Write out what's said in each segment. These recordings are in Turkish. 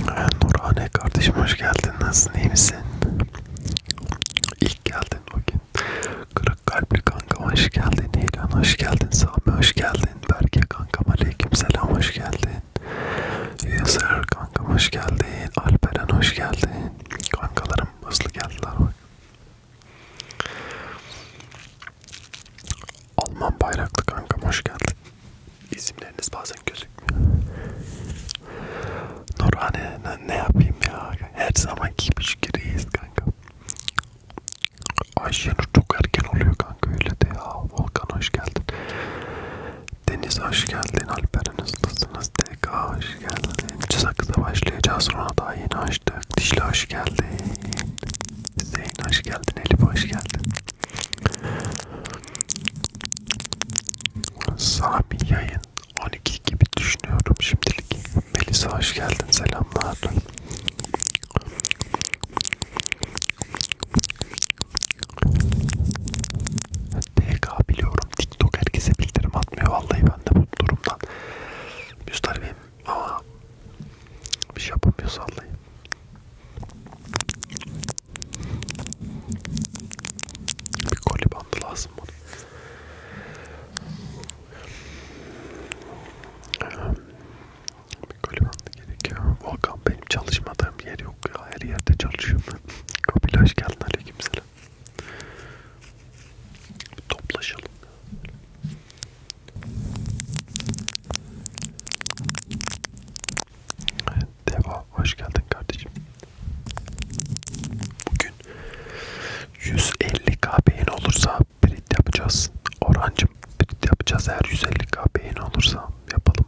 Ee, Nurhane kardeşim hoş geldin. Nasılsın? İyi misin? İlk geldin bugün. Kırık kalpli kanka hoş geldin. Heyran hoş geldin. Sami hoş geldin. Berke kankam aleykümselam hoş geldin. Yüzer kankam hoş geldin. Alperen hoş geldin. Kankalarım hızlı geldiler bak. Alman bayraklı kankam hoş geldin. İsimleriniz bazen gözükmüyor. Nurhane ne, ne yapayım ya? Her zamanki gibi reis kanka. Ayşenur çok erken oluyor kanka öyle de ya. Volkan hoş geldin. Deniz hoş geldin. Alperen hızlısınız. TK hoş geldin. Sakız'a başlayacağız. Sonra daha yeni açtık. Dişli hoş geldin. Zeyn hoş geldin, Elif hoş geldin. Sami yayın 12 gibi düşünüyorum şimdilik. Melisa hoş geldin, selamlar. TK biliyorum, TikTok herkese bildirim atmıyor. Vallahi ben de bu durumdan müstaribim ama bir şey yapamıyoruz vallahi. Bir koli bandı lazım bana. Bir koli bandı gerekiyor. Volkan benim çalışmadığım yer yok ya. Her yerde çalışıyorum ben. Kapıyla hoş geldin aleykümselam. Bir toplaşalım. Evet, Deva hoş geldin kardeşim. Bugün 150k beğeni olursa print yapacağız. Orancım print yapacağız eğer 150k beğeni olursa yapalım.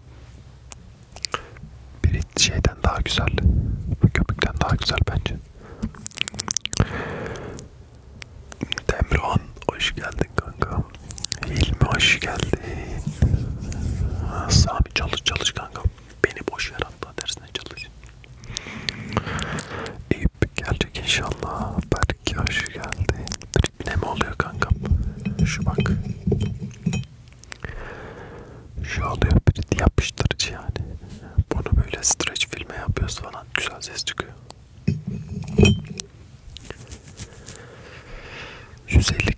Print şeyden daha güzel. Bu köpükten daha güzel bence. Temran hoş geldin kanka. Hilmi hoş geldi. Sami çalış çalış kanka. Beni boş ver hatta dersine çalış. Eyüp gelecek inşallah. Berk hoş geldi. Ne mi oluyor kanka? Şu bak. Şu oluyor bir yapıştırıcı yani. Bunu böyle streç filme yapıyoruz falan. Güzel ses çıkıyor. 150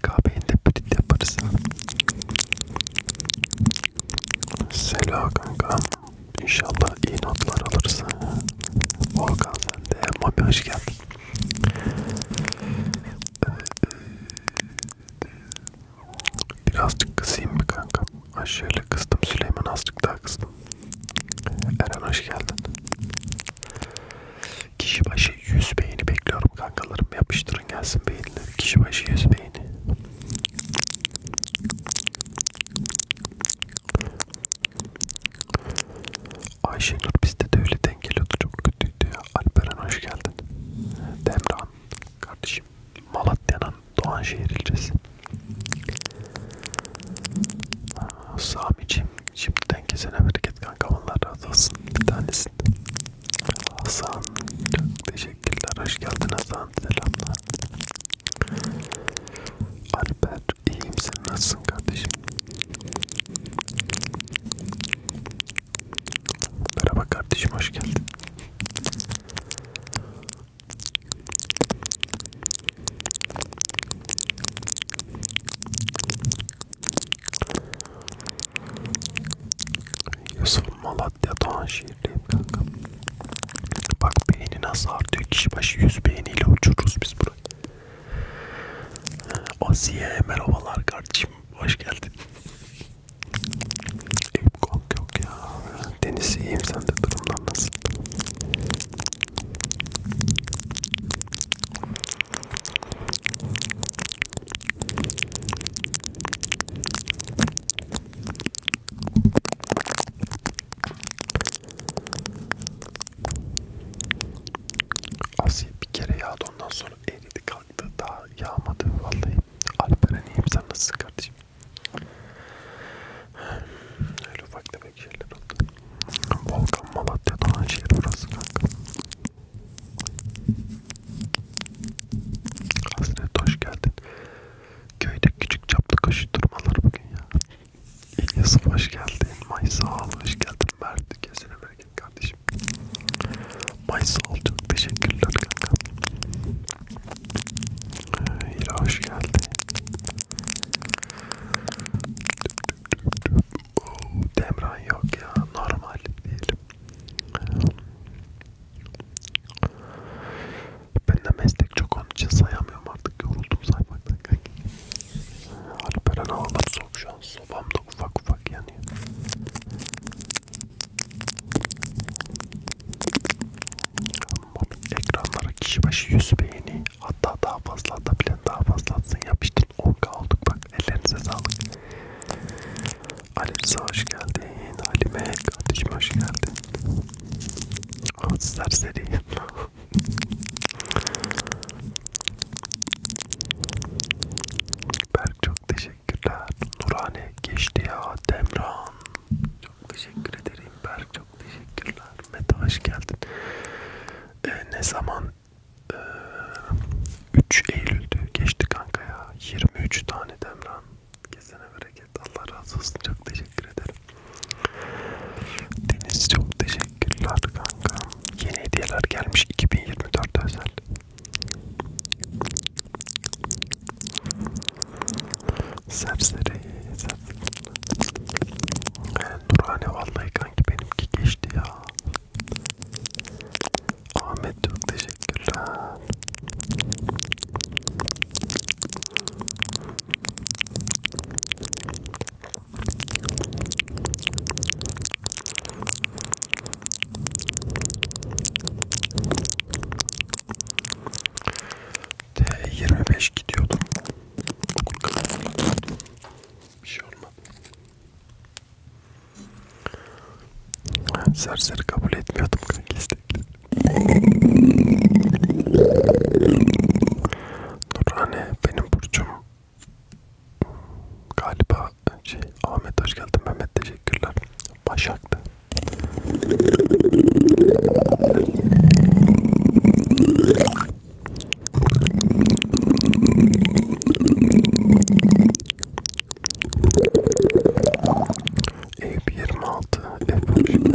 kahveyle prit yaparız. Selam kanka. İnşallah iyi notlar alırız. Volkan sen de. Mami hoş geldin. Birazcık kısayım mı kanka? Aşağıyla kızdım. Süleyman azıcık daha kızdım. Eren hoş geldin. Kişi başı 100 beğeni bekliyorum kankalarım. Yapıştırın gelsin beğenileri. Kişi başı 100 beğeni. Ayşenur bizde de öyle denk geliyordu. Çok kötüydü ya. Alperen hoş geldin. Demran kardeşim. Malatya'nın Doğanşehir ilçesi. Ha, Sami'cim şimdiden kesene bereket kanka Allah razı olsun bir tanesin Hasan çok teşekkürler hoş geldin Hasan selamlar Alper iyiyim sen nasılsın kardeşim Merhaba kardeşim hoş geldin Yusuf Malatya Doğan şehirliyim kanka. Bak beğeni nasıl artıyor. Kişi başı 100 beğeniyle uçururuz biz burayı. Ee, Asiye merhabalar kardeşim. Hoş geldin. Eyüp yok ya. Deniz iyiyim. Sen de durumdan nasıl? Asiye bir kere yağdı ondan sonra eridi kalktı daha yağmadı vallahi. Alperen iyiyim sen nasılsın kardeşim? Öyle ufak tefek şeyler oldu. Volkan Malatya Donanşehir burası kanka. Hasret hoş geldin. Köyde küçük çaplı koşturmalar bugün ya. İlyas'ım hoş geldin. Maysa hoş geldin. Mert kesene bereket kardeşim. Maysa çok teşekkürler kanka. Hira hoş geldin. Oo, Demran yok ya normal diyelim. Ben de meslek çok onun için sayamıyorum artık yoruldum saymaktan kanki. Alperen havalar soğuk şu an sobam da ufak ufak yanıyor. Ekranlara kişi başı 100 beğeni Hatta daha fazla atabilen daha fazla atsın. Yapıştın 10k olduk bak. Ellerinize sağlık. Alimsa hoş geldin. Halime kardeşim hoş geldin. Oh serseri. Berk çok teşekkürler. Nurhane geçti ya Demran. Çok teşekkür ederim Berk çok teşekkürler. Mete hoş geldin. Ee, ne zaman 3 Eylül'dü. Geçti kanka ya. 23 tane Demran. Kesene bereket. Allah razı olsun. Çok teşekkür ederim. Deniz çok teşekkürler kanka. Yeni hediyeler gelmiş 2024 özel. Serseri, serseri. Nurhane vallahi kanki benimki geçti ya. Ahmet çok teşekkürler. De 25 gidiyordum. Bir şey olmadı. Serseri kabul etmiyordum kanka istekleri. Nurhane benim burcum. Galiba şey Ahmet hoş geldin Mehmet teşekkürler. Başak'tı. Eyüp 26 Eyüp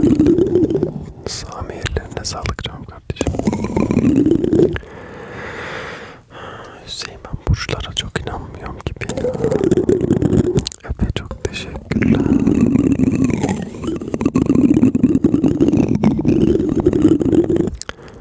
Sami ellerine sağlık canım kardeşim Hüseyin ben burçlara çok inanmıyorum gibi ya Efe çok teşekkürler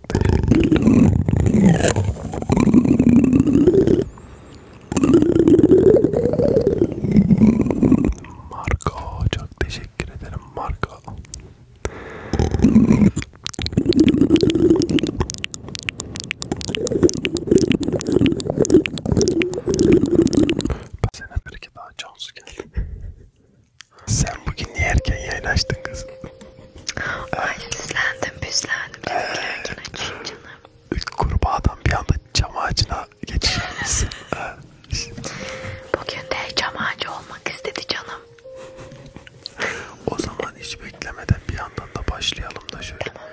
Marco çok teşekkür ederim Marco. Sene bir iki daha Cansu geldi. Sen bugün niye erken yayın açtın kızım? Ay süslendim püslendim dedim ki erken açayım canım. Kurbağadan bir anda cam ağacına geçeceğimiz. Bugün de cam ağacı olmak istedi canım. o zaman hiç beklemeden bir yandan da başlayalım da şöyle. Tamam.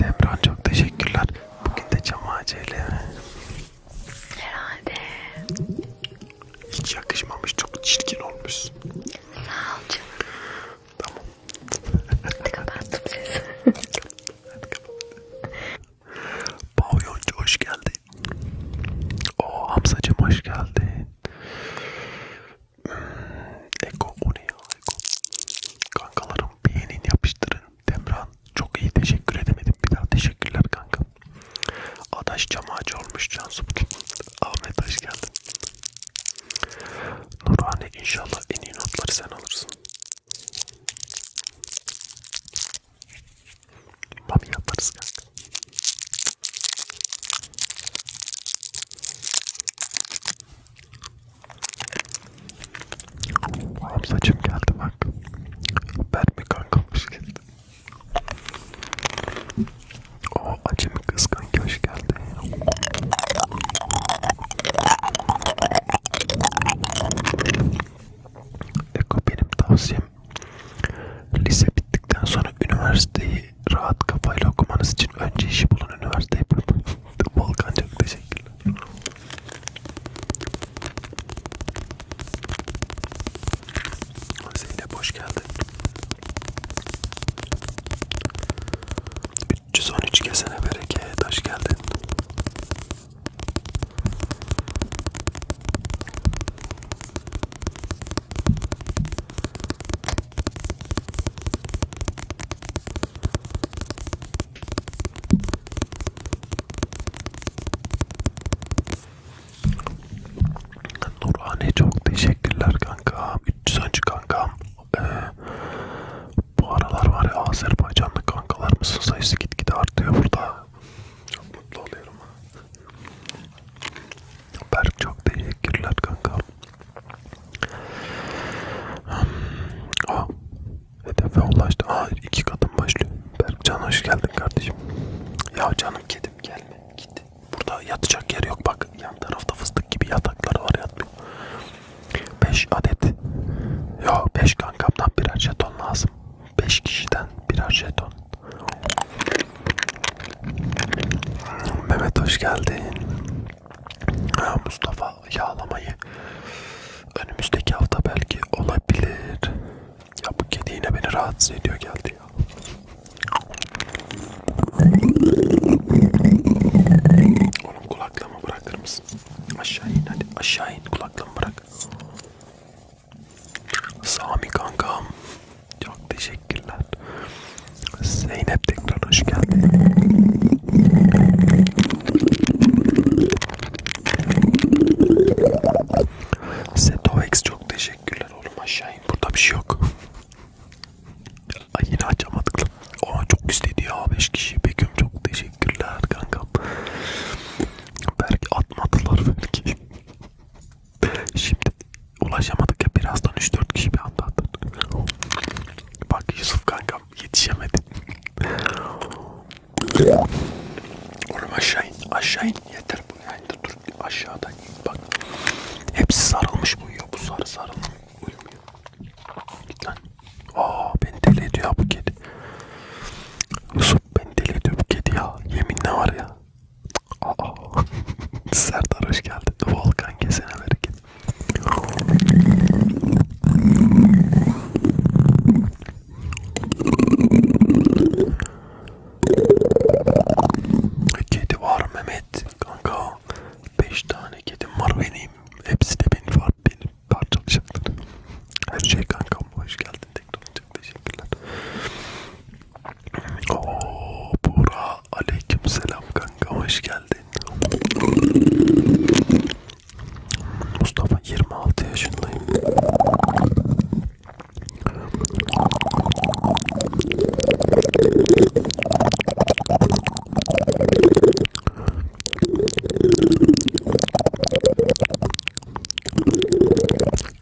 Demran çok teşekkürler. Bugün de cam ağacıyla. Herhalde. Hiç yakışmamış çok çirkin olmuş. Sağ ol canım. Tamam. Hadi kapattım sesi. Hadi kapat. Pavyoncu hoş geldin. Oo Hamzacım hoş geldin. Hmm, Eko o ne ya Eko. Kankalarım beğenin yapıştırın. Demran çok iyi teşekkür edemedim. Bir daha teşekkürler kanka. Adaş cam ağacı olmuş Cansu bugün. Ahmet hoş geldin. Nurhane inşallah en iyi notları sen alırsın. Mami yaparız kanka. Oğlum saçım geldi bak. Ben mi kankamış geldi. O acemi kıskan hoş geldi. Eko benim tavsiyem lise bittikten sonra üniversiteyi rahat kafayla okumanız için önce işi bulun üniversite yapın. Volkan çok teşekkürler. Zeynep hoş geldin. 313 kesene bereket hoş geldin. Nurhane çok teşekkürler kanka. 313 kankam. Ee, bu aralar var ya Azerbaycanlı kankalarımızın sayısı gitgide artıyor burada. Çok mutlu oluyorum. Berk çok teşekkürler kankam. Hmm. Aa, hedefe ulaştı. Aa, iki kadın başlıyor. Berk Can hoş geldin kardeşim. Ya canım kedim gelme. Git. Burada yatacak yer yok bak. Yan tarafta fıstık gibi yataklar var yatmıyor. 5 adet. Yo 5 kankamdan birer jeton lazım. 5 kişiden birer jeton. Mehmet hoş geldin. Ha, Mustafa yağlamayı önümüzdeki hafta belki olabilir. Ya bu kedi yine beni rahatsız ediyor geldi ya. Oğlum kulaklığımı bırakır mısın? Aşağı in hadi aşağı in kulaklığımı bırak. Sami kankam. Çok teşekkürler. Zeynep tekrar hoş geldin. Setovex çok teşekkürler oğlum aşağı in. Burada bir şey yok. Ay yine açamadık lan. Aa çok istedi ya 5 kişi. Begüm çok teşekkürler kankam. Belki atmadılar belki. Şimdi ulaşamadık ya birazdan 3-4 kişi bir anda atın. Bak Yusuf kankam yetişemedi. Oğlum aşağı in, aşağı in. Yeter bu yayında dur aşağıda in bak. Hepsi sarılmış bu ya bu sarı sarılmış. Uyumuyor. Git lan. Aa beni deli ediyor bu kedi. Yusuf beni deli ediyor bu kedi ya. Yeminle var ya. Aa. Serdar hoş geldin. Volkan kesene bereket. Kedi var Mehmet kanka Beş tane kedim var benim. Hepsi de benim var. Benim parçalayacaklar. Her şey kankam. Hoş geldin. Tekrar çok teşekkürler. Ooo Buğra. Aleyküm selam kanka. Hoş geldin. Mustafa 26 yaşındayım.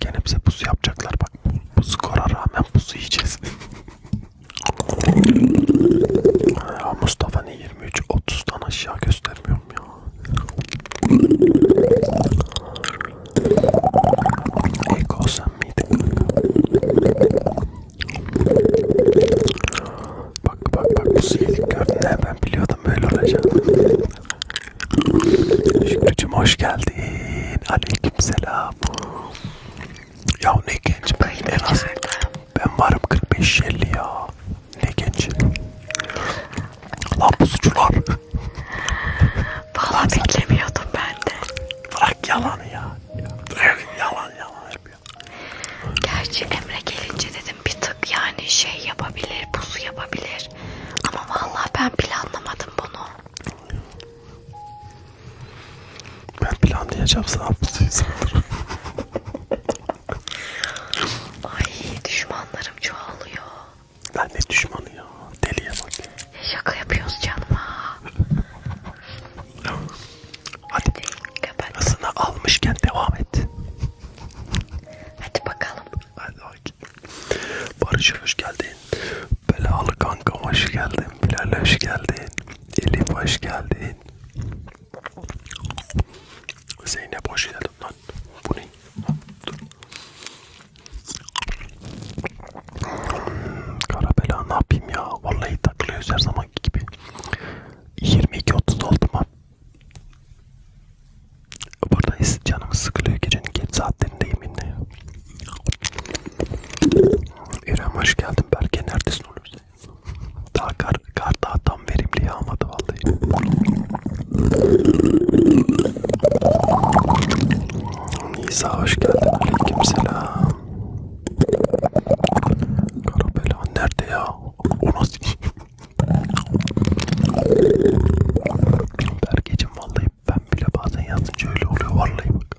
Gene bize pusu yapacaklar bak. Bu skora rağmen pusu yiyeceğiz. ya Mustafa ne 23 30'dan aşağı göstermiyorum ya. Eko sen miydin? Bak bak bak bu silik gördün ben biliyordum böyle olacağını. Şükrücüm hoş geldin. Aleykümselam. Ya ne genç ben en az ben varım 45-50 ya. Ne genç. Lan bu suçular. Valla beklemiyordum ben de. Bırak yalanı ya yalan yalan yapıyor. Gerçi Emre gelince dedim bir tık yani şey yapabilir, pusu yapabilir. Ama vallahi ben planlamadım bunu. Ben planlayacağım sana pusuyu saldırırım. Ay düşmanlarım çoğalıyor. Lan ne düşmanı ya? Deliye bak. Şaka yapıyoruz canım ha. Hadi. Kapat. Hızını almışken devam et. Hadi bakalım. Hadi Barış hoş geldin. Belalı kankam hoş geldin. Bilal hoş geldin. Elif hoş geldin. Zeynep hoş geldin lan. Bu ne? Dur. Karabela ne yapayım ya? Vallahi takılıyoruz her zaman gibi. 22.30 oldu mu? Buradayız. Canımız sıkılıyor. Gecenin geç saatlerindeyim yine. İrem hoş geldin. Berke neredesin oğlum sen? Daha kar, kar daha tam verimli yağmadı vallahi. Nisa hoş geldin. Aleykümselam. Karabela nerede ya? O nasıl? Bergecim vallahi ben bile bazen yazınca öyle oluyor vallahi bak.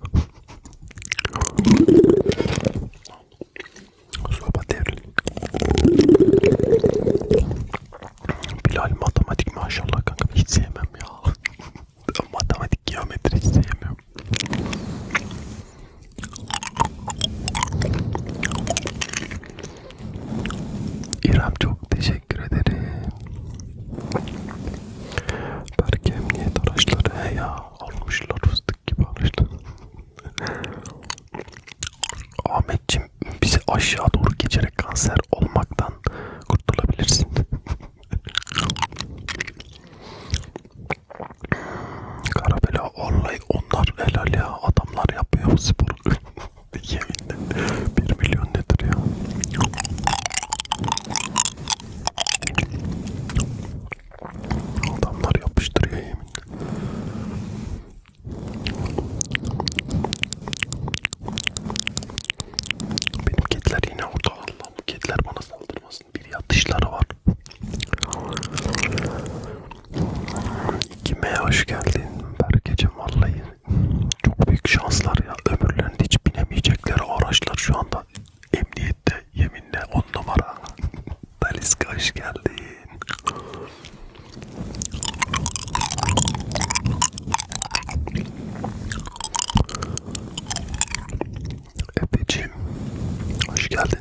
Soba devri. Bilal matematik maşallah kanka hiç sevmem ya matematik geometri sevmiyorum. İrem çok teşekkür ederim. Belki emniyet araçları he ya almışlar fıstık gibi almışlar. Ahmetçim bizi aşağı doğru geçerek kanser olmaktan kurtulabilirsin. Karabela vallahi onlar helal ya adamlar yapıyor bu sporu. Yeminle 1 milyon nedir ya? Adamlar yapıştırıyor yeminle. Benim kediler yine orada. Allah'ım kediler bana saldırmaz bir yatışları var. Kime hoş geldin Berkeciğim vallahi çok büyük şanslar ya ömürlerinde hiç binemeyecekleri araçlar şu anda emniyette yeminle on numara. Baliska hoş geldin. Efeciğim, hoş geldin.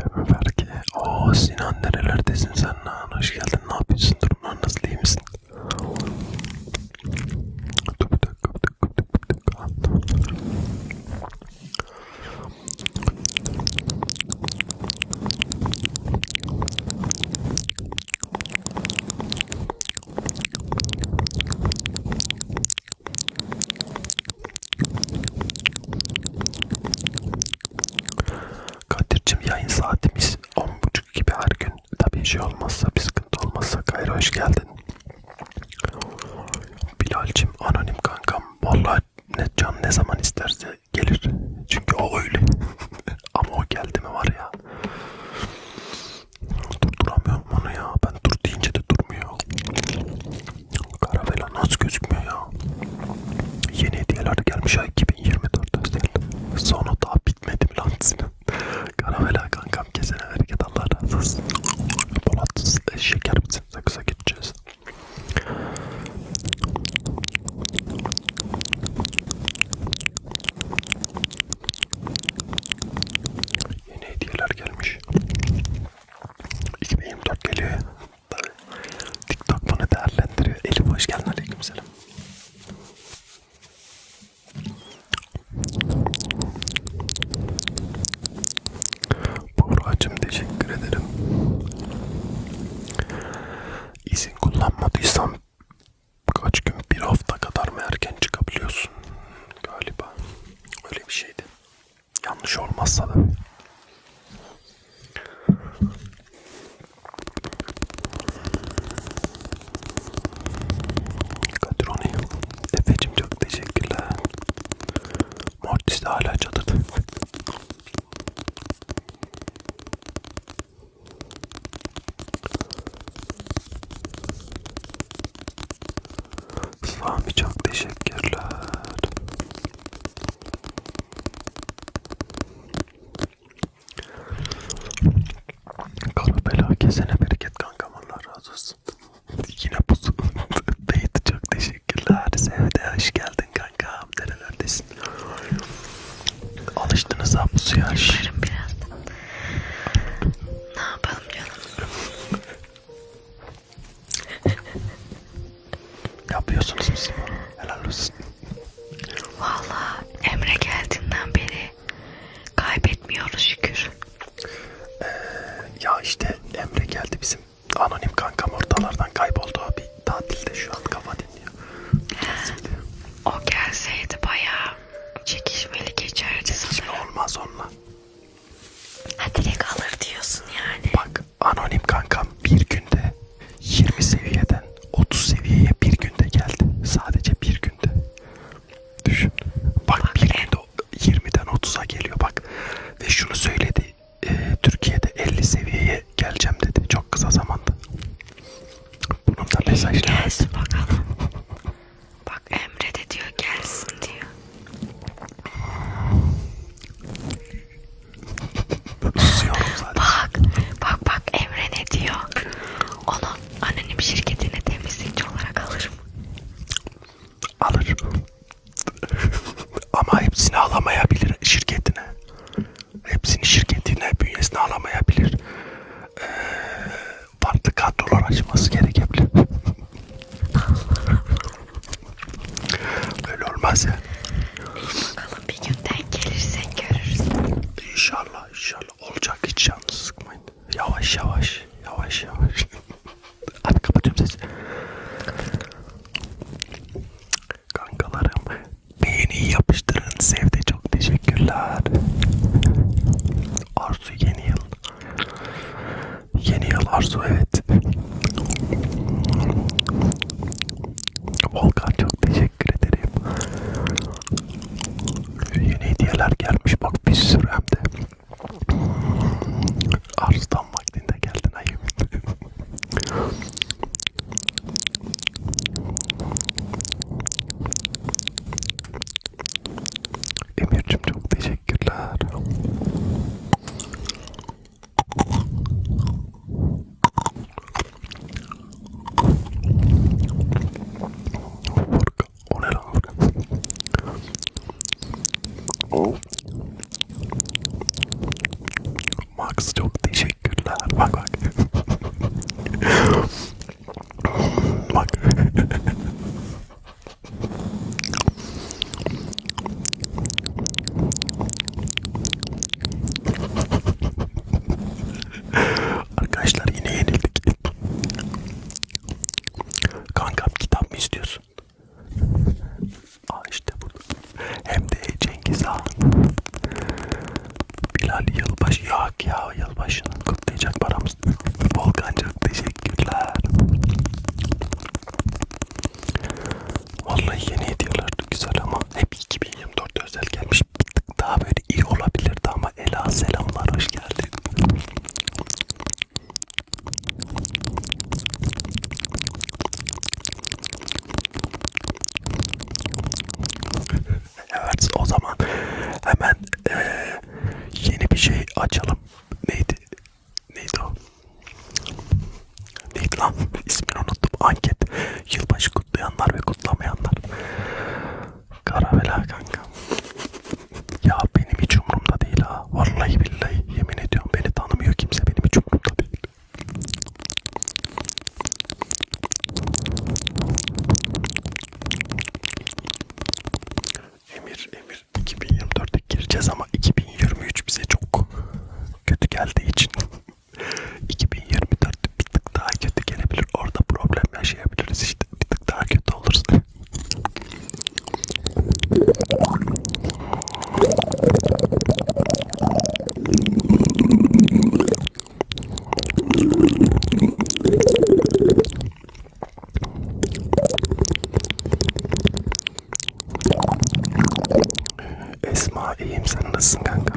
Deme Ferki. Oo Sinan nerelerdesin sen lan? Hoş geldin. Ne yapıyorsun? Durumlar nasıl? İyi misin? Dur bir dakika, bir dakika, bir dakika. Kadir'cim yayın saatimiz 10.30 gibi her gün tabii şey olmazsa bir sıkıntı olmazsa Kayra hoş geldin Bilal'cim anonim kankam vallahi ne can ne zaman isterse gelir çünkü o öyle ama o geldi mi var ya Durduramıyorum onu ya. Ben dur deyince de durmuyor. Karavela nasıl gözükmüyor ya? Yeni hediyeler gelmiş ay 2024 özel. Sonra daha bitmedi mi lan senin? Karavela kankam kesene hareket Allah razı olsun. Polat e, şeker misin? Sakıza gideceğiz. Yeni hediyeler gelmiş. 2024 geliyor. Tabii. TikTok bunu değerlendiriyor. Elif hoş geldin. Aleykümselam. Buğra'cığım teşekkür ederim. İzin kullanmadıysan kaç gün bir hafta kadar mı erken çıkabiliyorsun galiba öyle bir şeydi yanlış olmazsa da Kadironi Efe'cim çok teşekkürler Mortis de hala çadırda Sami çok teşekkürler. Kara bela kesene bereket kankam Allah razı olsun. Yine bu Beyt çok teşekkürler. Sevde hoş geldin kankam. Nerelerdesin? Alıştınız ha bu suya. Biraz ne yapalım canım? Yapıyorsunuz mu siz bunu? Helal olsun. Valla Emre geldiğinden beri kaybetmiyoruz şükür. Ee, ya işte Emre geldi bizim anonim kankam ortalardan kayboldu abi. Tatilde şu an kafa dinliyor. Gelseydi. O gelseydi bayağı Çekişmeli geçerdi Hiç sanırım. olmaz onunla. Ha direkt alır diyorsun yani. Bak anonim kankam bir günde 20 seviyeden 30 seviyeye bir günde geldi. Sadece bir günde. Düşün. Bak, Bak bir günde 20'den 30'a geliyor bak. Ve şunu söyledi. E, Türkiye'de 50 seviyeye geleceğim dedi. Çok kısa zamanda. Bunun da mesajları. Gelsin bakalım. Bak Emre de diyor gelsin diyor. Bak, bak bak Emre ne diyor? Onun anonim şirketine temizlikçi olarak alırım. Alır. Ama hepsini alamayabilir şirketine. Hepsini şirketine bünyesine alamayabilir. Ee, farklı kadrolar açması gerekebilir. Öyle olmaz ya. İyi bakalım bir günden gelirsen görürsün. İnşallah inşallah olacak hiç yalnız sıkmayın. Yavaş yavaş yavaş yavaş. Hadi kapatıyorum sesi. Kankalarım beğeni yapıştırın sevde çok teşekkürler. Arzu yeni yıl. Yeni yıl Arzu evet. Volkan çok teşekkür ederim. Yeni hediyeler gelmiş bak bir sürü hem de. Arzu'dan vaktinde geldin ayım. Emir'cim çok teşekkürler. O ne lan? Oh. Max çok teşekkürler. Bak bak. Bak. Arkadaşlar yine yenildik. Kanka kitap mı istiyorsun? Aa işte bu. Hem de Cengiz aldım. Bilal yılbaşı yok ya yılbaşının kutlayacak paramız. Volkan çok teşekkürler. Vallahi yeni hediyeler güzel ama hep 2024 özel gelmiş. Bir tık daha böyle iyi olabilirdi ama Ela selamlar hoş geldin. evet o zaman hemen ee, yeni bir şey açalım. Neydi? Neydi o? Neydi lan? İsmini unuttum. Anket. Yılbaşı kutlayanlar ve kutlamayanlar. Karavela kanka. Ya benim hiç umurumda değil ha. Vallahi billahi yemin ediyorum beni tanımıyor kimse benim hiç umurumda değil. Ümir Emir 2024'e gireceğiz ama 2023 bize çok kötü geldiği için 2024 bir tık daha kötü gelebilir. Orada problem yaşayabiliriz işte. Bir tık daha kötü olursa. Esma iyiyim sen nasılsın kanka?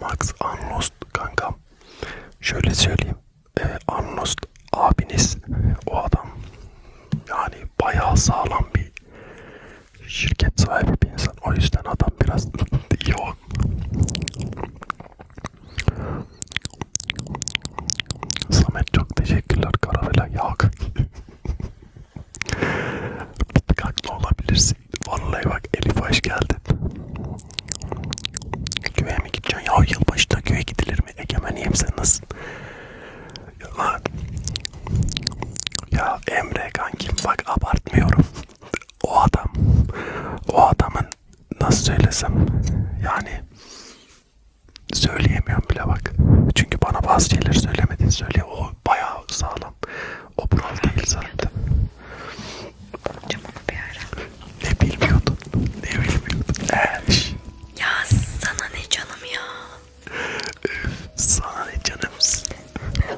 Max Unlost kankam. Şöyle söyleyeyim. E, ee, Unlost abiniz o adam yani bayağı sağlam bir şirket sahibi bir insan. O yüzden adam biraz yoğun. Samet çok teşekkürler karavela yak. Bir haklı olabilirsin. Vallahi bak Elif hoş geldin. Köye mi gideceksin? Ya yılbaşında köye gidilir mi? Egemen iyiyim sen nasılsın? Lan. Ya Emre kankim bak abartmıyorum. O adam, o adamın nasıl söylesem yani söyleyemiyorum bile bak. Çünkü bana bazı şeyler söylemediğini söylüyor. O bayağı sağlam. O brol değil zaten. Ne bilmiyordun? Ne bilmiyordun? Eş. Ya sana ne canım ya. Öf, sana ne canımsın.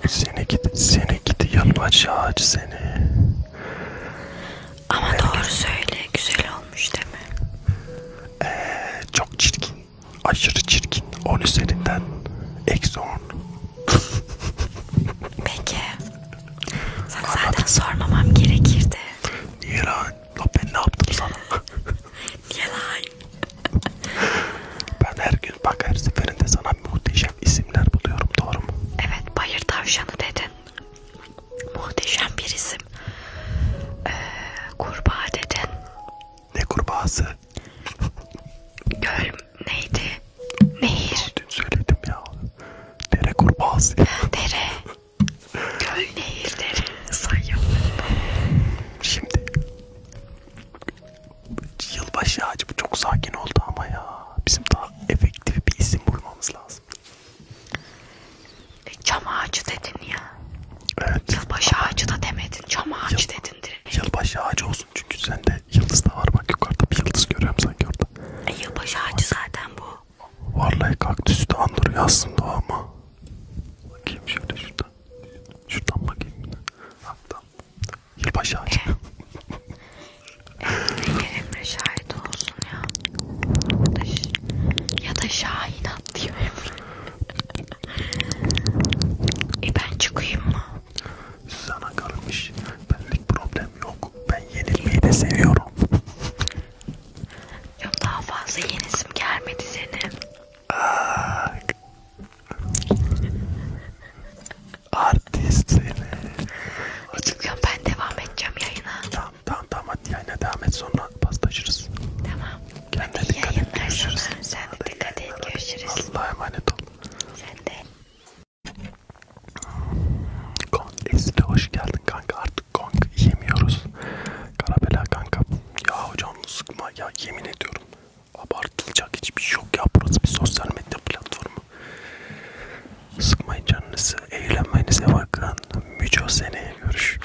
seni git, seni git yalbaşaç seni. Ama Herkes... doğru söyle, güzel olmuş değil mi? Ee, çok çirkin, aşırı çirkin. 10 üzerinden eksi 10. Peki. Sana zaten sormamam gerekirdi. Niye lan? La ben ne yaptım sana? Yalan. ben her gün bak her seferinde sana muhteşem isimler buluyorum doğru mu? Evet bayır tavşanı dedin. Muhteşem bir isim. Ee, kurbağa dedin. Ne kurbağası? Göl neydi? Nehir. Dün söyledim ya. Dere kurbağası. Dere. Göl nehir dere. Sayın. Şimdi yılbaşı ağacı bu çok sakin oldu ama ya. Bizim daha efektif bir isim bulmamız lazım. E, çam ağacı dedin ya. Evet. Yılbaşı ağacı da demedin. Çam ağacı Yıl, dedin direkt. Yılbaşı ağacı olsun çünkü sende yıldız da var. Bak yukarıda bir yıldız görüyorum sanki orada. E, yılbaşı ağacı zaten bu. Vallahi kaktüsü de andırıyor aslında ama. Bakayım şöyle şuradan. Şuradan bakayım. Hatta Yılbaşı eh. ağacı. Eh, Emre şahit olsun ya. Ya da, ya da Şahin atlıyor Emre. e ben çıkayım mı? Sana kalmış. Benlik problem yok. Ben yenilmeyi de seviyorum. Yok daha fazla yenisim gelmedi senin. Ah. Artist seni. Açıklıyorum ben devam edeceğim yayına. Tamam tamam tamam hadi yayına devam et sonra paslaşırız. Tamam. Kendine hadi dikkat et görüşürüz. Sana. Sen de hadi dikkat et görüşürüz. Allah'a emanet ol. Sen de. Kong Ezil'e hoş geldin kanka artık Kong yemiyoruz. Karabela kanka. Ya hocam sıkma ya yemin ediyorum. Abartılacak hiçbir şey yok ya. Burası bir sosyal medya platformu. Sıkmayın canınızı, eğlenmenize bakın. Müco seneye görüş.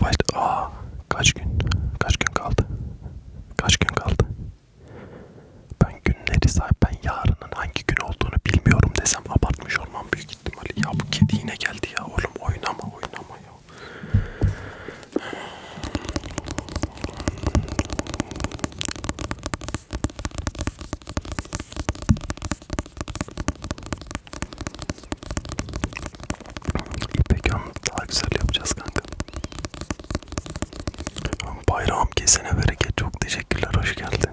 Başta, aa, kaç gün, kaç gün kaldı? Kaç gün kaldı? Ben günleri sahip, ben yarının hangi gün olduğunu bilmiyorum desem abartmış olmam büyük ihtimalle. Ya bu kedi yine geldi ya oğlum oynama oynama ya. İpek onu daha güzel yapacağız kanka. Bayrağım kesene bereket çok teşekkürler hoş geldin.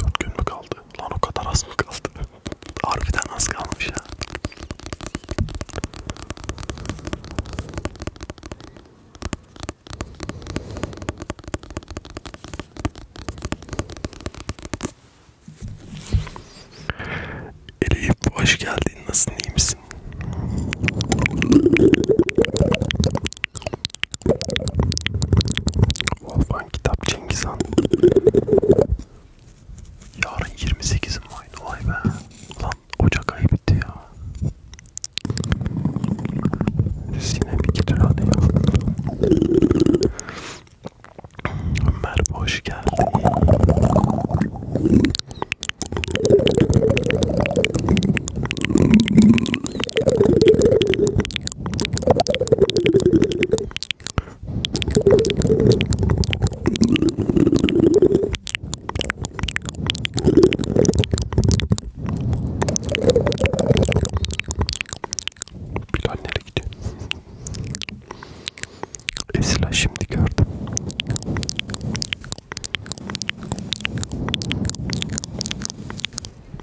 Dört gün mü kaldı? Lan o kadar az mı kaldı? Harbiden az kalmış ya. Elif hoş geldin. Nasılsın? iyi misin? Wolfgang Kitap Cengiz Han. Yarın 28'im aynı olay be. Lan Ocak ayı bitti ya. Sinem iki tür hadi ya. Merhaba hoş geldin. Bilal nereye gidiyor? Esra şimdi gördüm.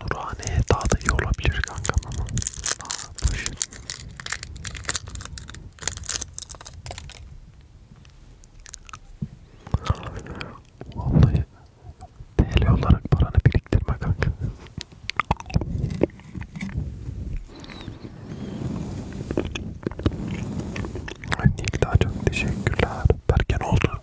Nurhane'ye daha da iyi olabilir kankam ama. Aa, boş. Vallahi TL olarak paranı biriktirme kanka. Ay Nikta çok teşekkürler. Berken oldu.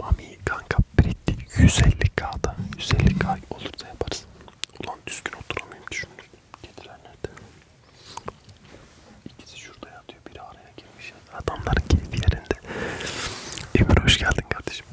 Mami kanka Pretty 150k'da 150k olursa yaparız. Ulan düzgün oturamayayım düşündüm. Getirenlerde. İkisi şurada yatıyor. Biri araya girmiş. Adamların keyfi yerinde. Emir hoş geldin kardeşim.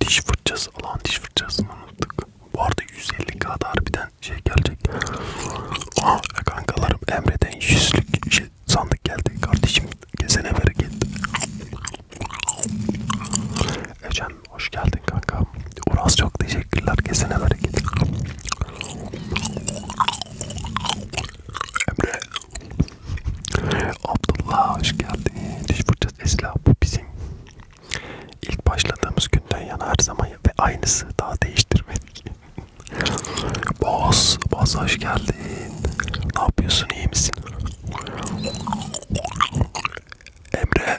Diş fırçası falan diş fırçasını unuttuk. Bu arada 150 kadar harbiden şey gelecek. Aa kankalarım Emre'den 100'lük şey, sandık geldi. Kardeşim kesene bereket. Ecem hoş geldin kanka. Uras çok teşekkürler kesene bereket. Emre. Abdullah hoş geldin. Diş fırçası Esla bu bizim. İlk başladığımız günden yana her zaman ve aynısı daha değiştirmedik. Boz, Boz hoş geldin. Ne yapıyorsun iyi misin? Emre.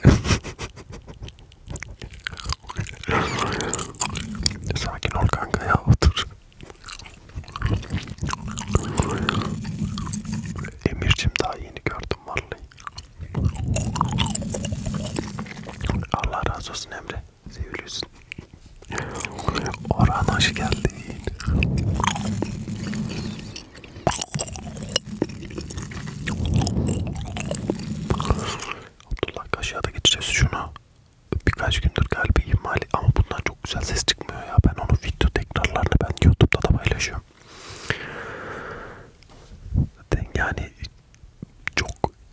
Sakin ol kanka ya otur. Emircim daha yeni gördüm vallahi. Allah razı olsun Emre. Seviliyorsun. Orhan hoş geldin. Abdullah kaşığa da geçeceğiz şunu birkaç gündür galiba ihmali ama bundan çok güzel ses çıkmıyor ya. Ben onun video tekrarlarını ben YouTube'da da paylaşıyorum. Yani çok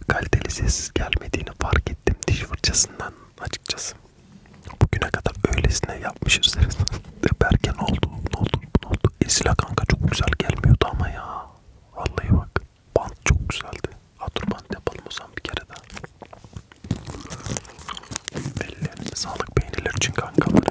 kaliteli ses gelmediğini fark ettim diş fırçasından açıkçası. Bugüne kadar öylesine yapmışız. Berke ne oldu? Ne oldu? Ne oldu? Esila kanka çok güzel gelmiyordu ama ya. Vallahi bak. Bant çok güzeldi. Atur bant yapalım o zaman bir kere daha. Ellerine sağlık beğeniler için kankalarım.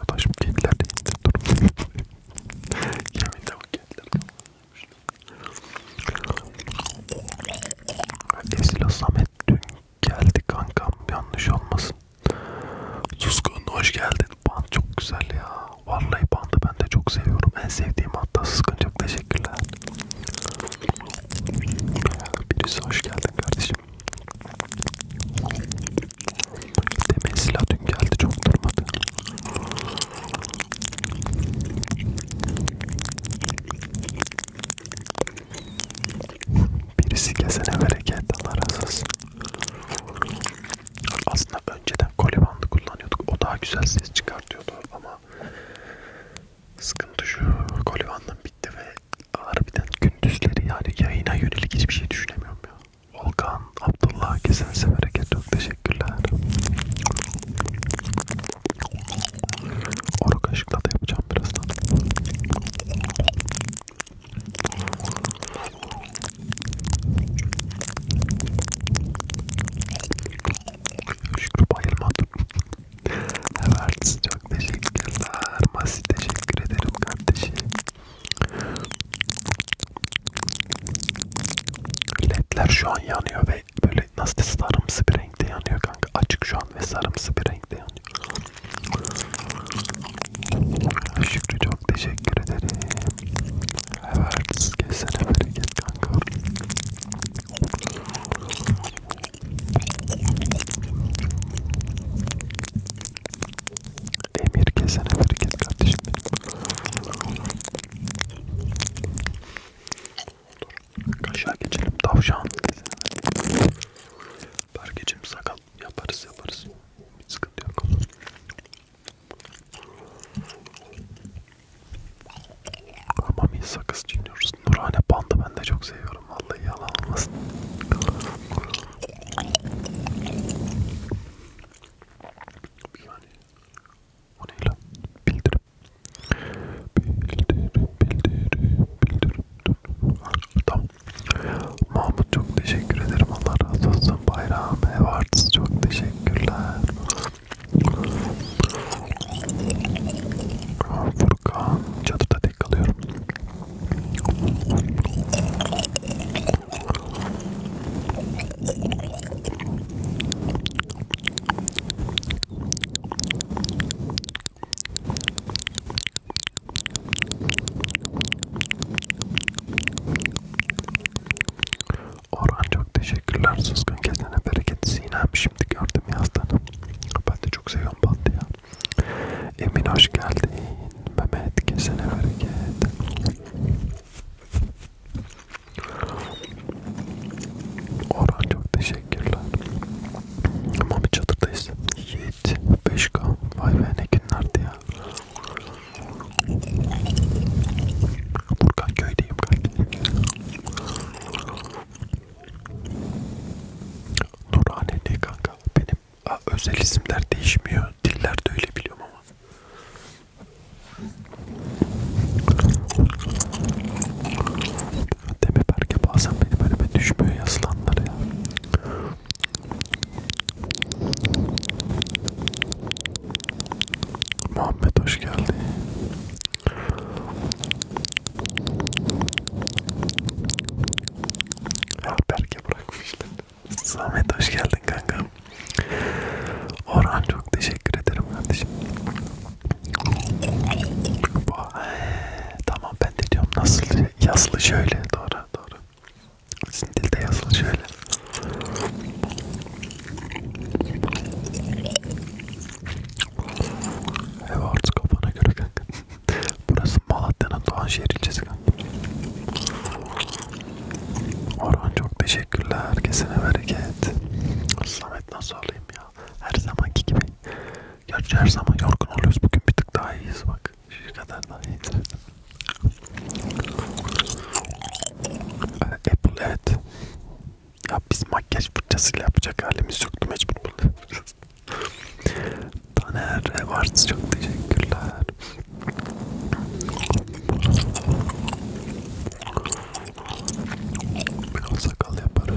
Arkadaşım kediler de indi durun. Yemin de bu kediler Esila Samet dün geldi kankam yanlış olmasın. Suskun hoş geldin. Bant çok güzel ya. Vallahi bandı ben de çok seviyorum. En sevdiğim hatta Suskun çok teşekkürler. Birisi hoş geldin kardeşim. Demin silah dün geldi çok durmadı. Birisi kesene bereket Allah razı olsun. Aslında önceden kolye bandı kullanıyorduk. O daha güzel ses çıkartıyordu ama sıkıntı şu kolye bandım bitti ve harbiden gündüzleri yani yayına yönelik hiçbir şey düşünemiyorum ya. Volkan, Abdullah, kesinse bereket çok teşekkürler. Oru kaşıkla da yapacağım birazdan. Şükrü bayılmadım. Evet çok teşekkürler. Masih teşekkür ederim kardeşim. Ledler şu an yanıyor ve böyle nasıl sarımsı bir renkte yanıyor kanka. Açık şu an ve sarımsı bir renkte yanıyor. Şükrü çok teşekkür ederim. Evet, kesene bereket kanka. Emir kesene bereket kardeşim benim. Kaşa geçelim tavşan kesene. Bergeciğim sakal yaparız yaparız. Hiç sıkıntı yok. Ama bir sakız çiğniyoruz. Nurhane bandı ben de çok seviyorum. Vallahi yalan olmasın. Yani o ne lan? Bildirim. Bildirim, bildirim, bildirim. Tam Mahmut çok teşekkür ederim. Allah razı olsun. Bayram ev artısı çok teşekkürler. Furkan çatıda tek kalıyorum. Orhan çok teşekkürler. Sızgın gezene bereket Sinem. Şimdi gördüm yazdanım. Ben de çok seviyorum bandı ya. Emin hoş geldin. Mehmet gezene bereket. Orhan çok teşekkürler. Mami çadırdayız. Yee. Net 5K. Vay be ne günlerdi ya. Burkan köydeyim kanka. Nurhane ne kanka? Benim a, özel isimler değişmiyor. Diller de öyle biliyorum ama. Demi Berke bazen benim önüme düşmüyor yazılanlar ya. Muhammed hoş geldin. Ya Berke bırakmışlar. Samet hoş geldin kankam. Orhan çok teşekkür ederim kardeşim. tamam ben de diyorum nasıl yaslı şöyle doğru doğru. Sizin dilde yazılı şöyle. Ev artık kafana göre kanka. Burası Malatya'nın Doğanşehir ilçesi kanka. Orhan çok teşekkürler. Herkesine bereket. Samet nasıl olayım ya? Her zamanki gibi. Gerçi her zaman yorgun oluyoruz. Bugün bir tık daha iyiyiz bak. Şu kadar daha yeter. Apple evet. Ya biz makyaj fırçasıyla yapacak halimiz yoktu mecbur bunu. Taner Revarts çok teşekkürler. Biraz sakal yaparız.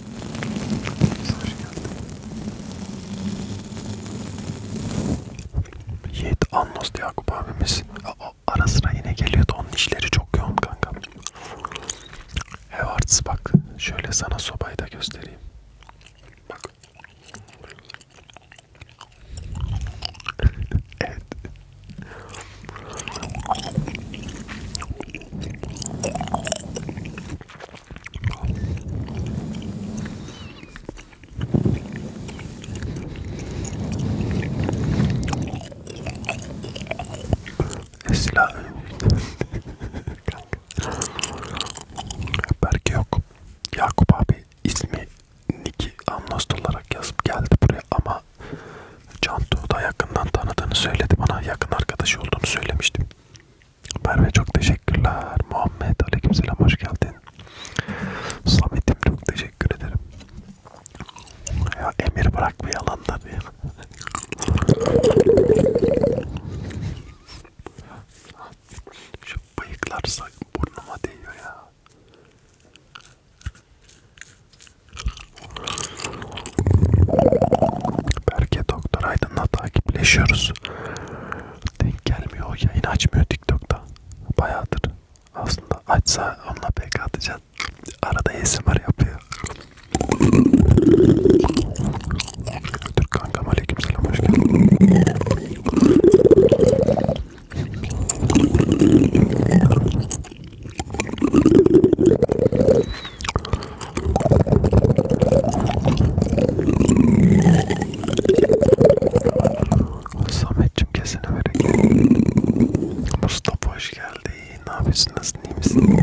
Mesaj geldi. Yiğit Annos Yakup abimiz o, ara sıra yine geliyordu. Onun işleri çok yoğun kanka. Hevarts bak. Şöyle sana sobayı da göstereyim. Bak. evet. Esla Berke yok. Yakup abi ismi Niki Annost olarak yazıp geldi buraya ama Cantu da yakından tanıdığını söyledi bana. Yakın arkadaşı olduğunu söylemiştim. Merve çok teşekkürler. Muhammed aleykümselam hoş geldin. Samet'im çok teşekkür ederim. Ya Emir bırak bir yalan da bir. Şu bıyıklarsa burnuma değiyor ya. Berke Doktor Aydın'la takipleşiyoruz. Denk gelmiyor. O yayını açmıyor TikTok'ta. Bayağıdır. Aslında açsa onunla pek atacağız. Arada ASMR yapıyor. Türk kankam aleykümselam hoş geldin. Samet'cim kesene vereyim. Mustafa hoş geldi. Ne yapıyorsun? Nasılsın? İyi misin?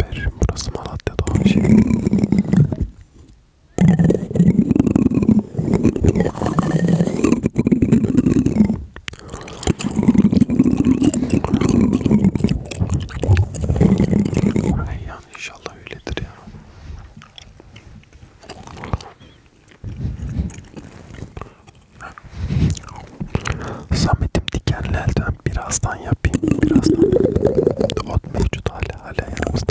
Berim burası Malatya'da abi şey. Ay yani inşallah öyledir ya. Samet'im dikenli elden birazdan yapayım. Birazdan. Ot mevcut hala hala yanımızda.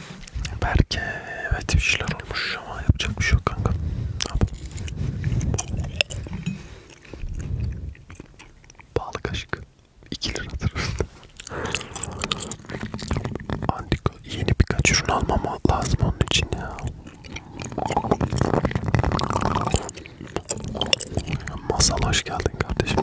Belki evet bir şeyler olmuş ama yapacak bir şey yok kanka. Pahalı kaşık. 2 liradır. Antika yeni birkaç ürün almam lazım onun için ya. Masal hoş geldin kardeşim.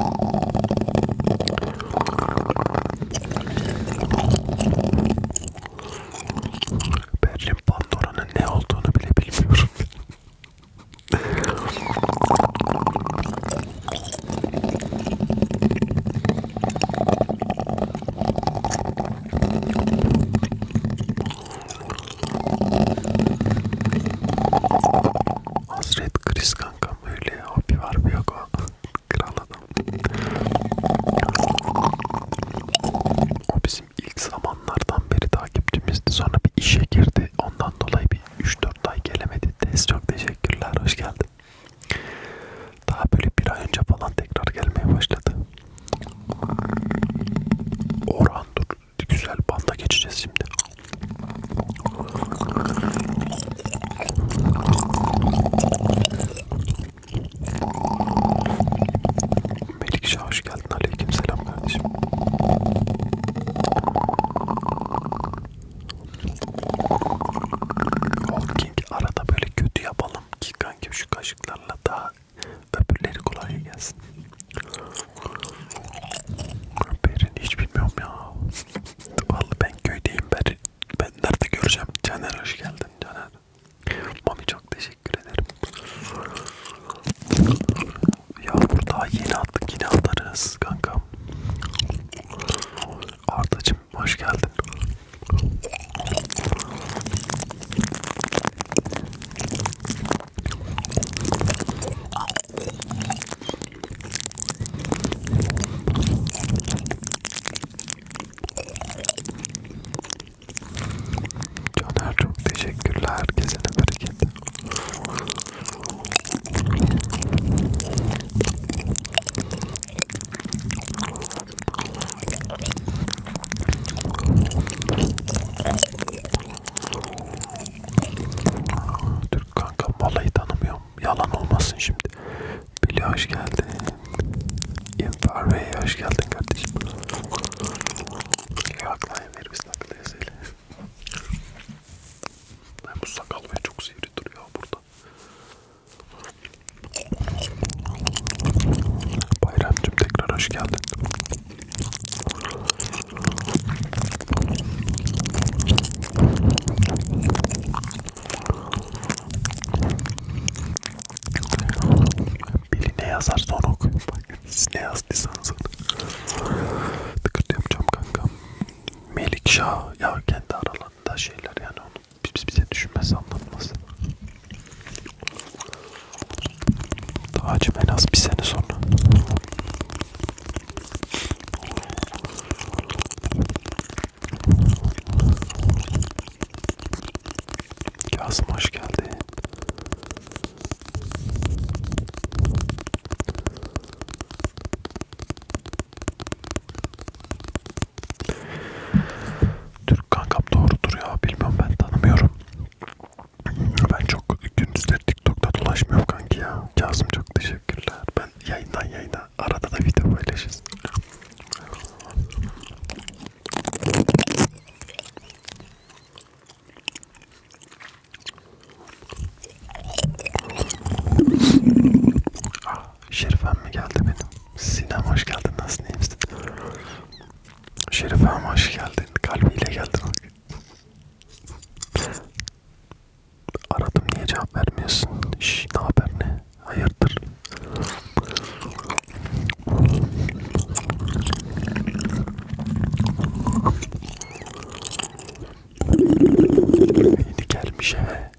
Berlin Pandora'nın ne olduğunu bile bilmiyorum. Hasret kriz kankam öyle hobi var mı yok o Kral adam. O bizim ilk zamanlardan beri takipçimizdi. Sonra bir işe girdi. Ondan dolayı bir 3-4 ay gelemedi. Tez çok teşekkürler. Hoş geldin. Daha böyle bir ay önce falan tekrar gelmeye başladı. Orhan dur. Güzel banda geçeceğiz şimdi. Melikşah hoş geldin. Aleyküm selam kardeşim. Walking arada böyle kötü yapalım ki kanki şu kaşıklarla daha öbürleri kolay gelsin. Berin hiç bilmiyorum ya. Vallahi ben köydeyim Berin. Ben nerede göreceğim? Caner hoş geldin Caner. Mami çok teşekkür ederim. Ya burada yeni attık yine atarız kankam. Ardacım hoş geldin. Caner çok teşekkürler herkese de bereket. Türk kanka balayı tanımıyor Yalan olmasın şimdi. Billy hoş geldin. İmpar Bey hoş geldin kardeşim. Yaklayın ver biz takılıyız öyle. Ben bu sakal ve çok sivri duruyor burada. Bayramcım tekrar hoş geldin. Biri ne yazar sonra okuyun. Bak siz ne yazdıysanız. Tıkırt yapacağım kankam. Melikşah ya kendi aralarında şeyler yani onu biz bize düşünmesi anlatması. Tacım en az bir sene sonra. Kasım hoş geldin. Türk kankam doğrudur ya. Bilmiyorum ben tanımıyorum. Ben çok gündüzleri TikTok'ta dolaşmıyorum kanki ya. Kasım çok teşekkürler. Ben yayından yayına arada da video paylaşırız ah, Şerifem mi geldi benim? Sinem hoş geldin. Nasılsın? İyi misin? Şerifem hoş geldin. Kalbiyle geldin. Aradım niye cevap vermiyorsun? Şş, ne haber ne? Hayırdır? Yeni gelmiş eve.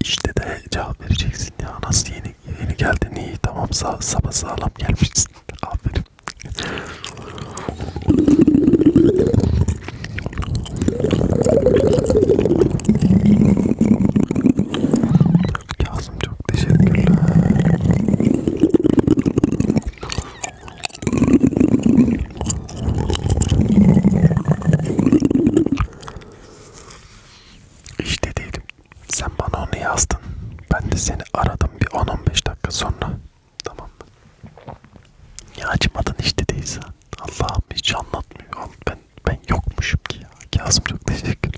İşte de cevap vereceksin ya. Nasıl yeni yeni geldin iyi tamam sağ, sabah sağlam gelmişsin. Aferin. Kazım çok teşekkürler. İşte değilim. Sen bana onu yazdın. Ben de seni aradım bir 10-15 dakika sonra. Tamam mı? Ya açmadın işte değilse. Allah'ım hiç anlatmıyor. Ben ben ben yokmuşum ki ya. Kazım çok teşekkür.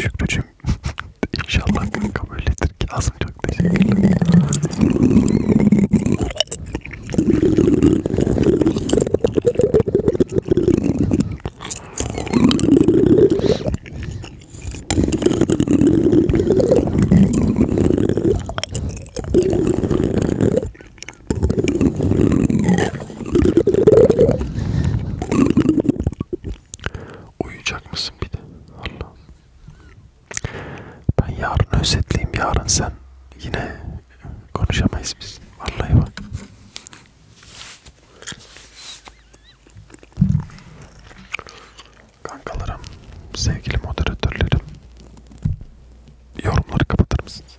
Şükrücüm inşallah kanka böyledir. Kazım çok teşekkürler. Uyuyacak mısın bir de? Allah. Ben yarın özetleyeyim. Yarın sen yine konuşamayız biz. Vallahi bak. Kankalarım, sevgili moderatörlerim, yorumları kapatır mısınız?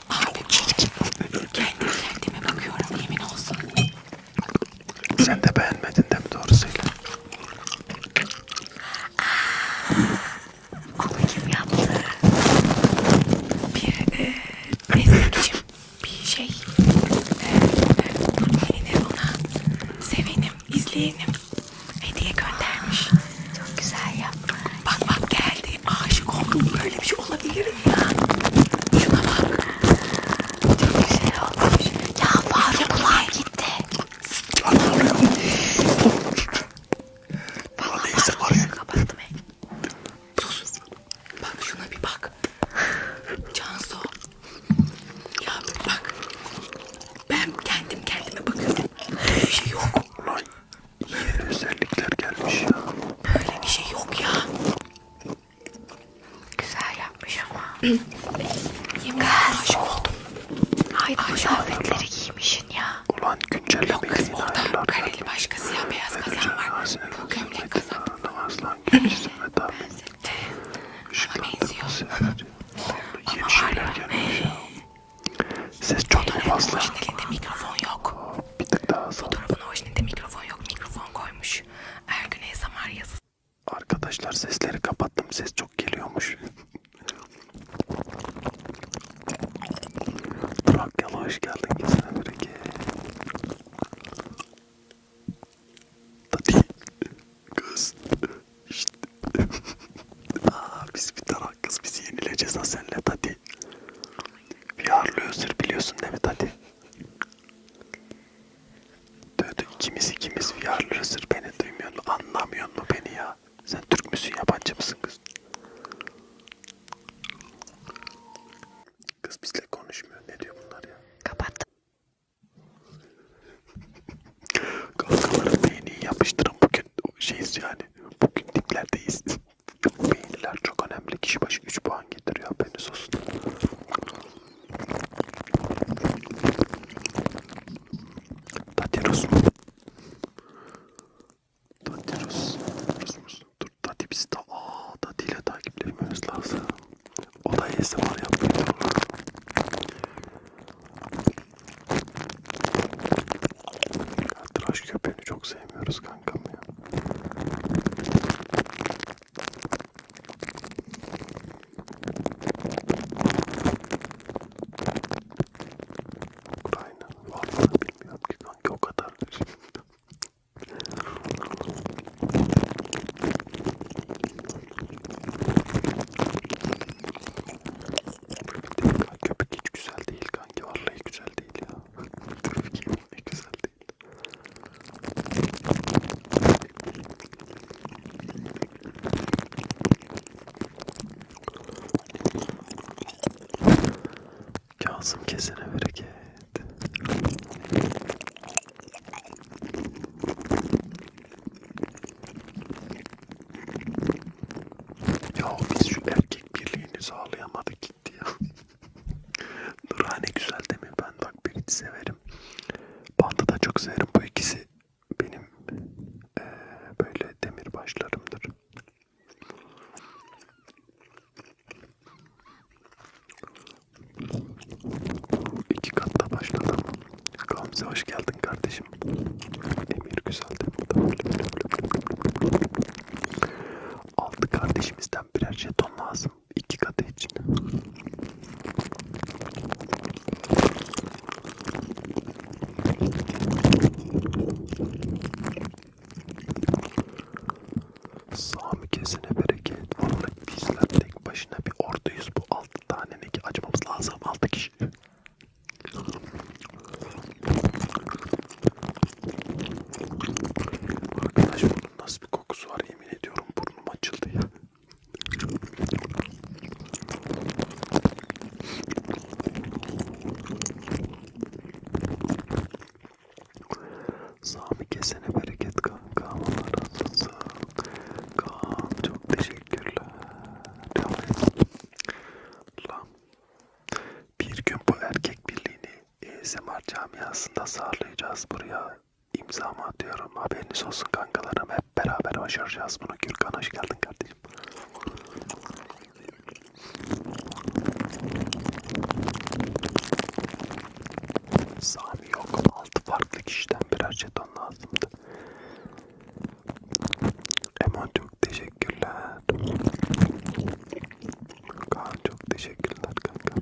Abi çirkin. Kendi kendime bakıyorum yemin olsun. Sen de beğenmedin de mi doğru söyle? Onu ah, kim yaptı? Bir e, destekçim, bir şey. Yeni e, e, ona sevenim, izleyenim hediye göndermiş. Çok güzel yapmış. Bak bak geldi, aşık oldum. Böyle bir şey olabilir ölüm ya. Şuna bak. Çok güzel olmuş. Ya farklılar gitti. Valla parmağını kapattım. Sus. Bak şuna bir bak. Cansu. Ya bak. Ben kendim kendime bakıyorum. Böyle bir şey yok. Ulan iyi özellikler gelmiş ya. Böyle bir şey yok ya. Güzel yapmış ama. Yemin aşık oldum. Haydi kıyafetleri giymişsin ya. Ulan güncellemeyi Yok kız orada kareli başka siyah beyaz kazan var. Bu gömlek kazan. Aslan gençsin ve tabi. Ama benziyor. Ama var ya. Ses çok fazla. Başın elinde mikrofon yok. Bir tık daha sağ. Fotoğrafın orijininde mikrofon yok. Mikrofon koymuş. Ergün Ezamar yazısı. Arkadaşlar sesleri kapattım. Ses çok geliyormuş. Trakyalı hoş geldin. Gizli Böreke. Tati. Kız. İşte. Aa, biz bir tarak kız. Bizi yenileceğiz ha senle Tati. Bir ağırlı özür biliyorsun değil mi Tati? Diyordu ikimiz ikimiz VR'larısır beni duymuyor mu anlamıyor mu beni ya? Sen Türk müsün yabancı mısın kız? Kız bizle konuşmuyor. Ne diyor bunlar ya? Kapattım. Kavgaların beyni yapıştırın bugün şeyiz yani. Bugün diplerdeyiz. Çok beğeniler çok önemli. Kişi başı 3 puan getiriyor. Haberiniz olsun. Tati Rus mu? Tati Rus. Rus musun? Dur Tati biz de aaa Tati ile takipleşmemiz lazım. O da ASMR yapmıyor. Tıraş köpeğini çok sevmiyoruz kankam ya. Ukrayna vallahi bilmiyorum ki kanki o kadar. Köpek hiç güzel değil kanki vallahi güzel değil ya. Köpek hiç güzel değil. Kasım kesene bereket. Ya biz şu erkek birliğini sağlayamadık gitti ya. Nurhane güzel değil mi? Ben bak Brit'i severim. Band'ı da çok severim. Bu ikisi benim e, böyle demirbaşlarımdır. İki katta başladım. Gamze hoş geldin kardeşim. Emir güzeldi. Altı kardeşimizden birer jeton lazım. İki kadeh için. Sami kesine bereket. Vallahi bizler tek başına bir orduyuz. Bu altı tanenin ki açmamız lazım. Altı kişi. Arkadaş bu bunun nasıl bir kokusu var yemin ediyorum burnum açıldı ya. Sami kesene bereket kanka. Allah razı olsun. Kaan çok teşekkürler. Lan. Bir gün bu erkek birliğini ASMR camiasında sağlayacağız buraya imzamı atıyorum. Haberiniz olsun kankalarım. Hep beraber başaracağız bunu. Gürkan hoş geldin kardeşim. Sami yok. Altı farklı kişiden birer jeton lazımdı. Eman çok teşekkürler. Kaan çok teşekkürler kanka.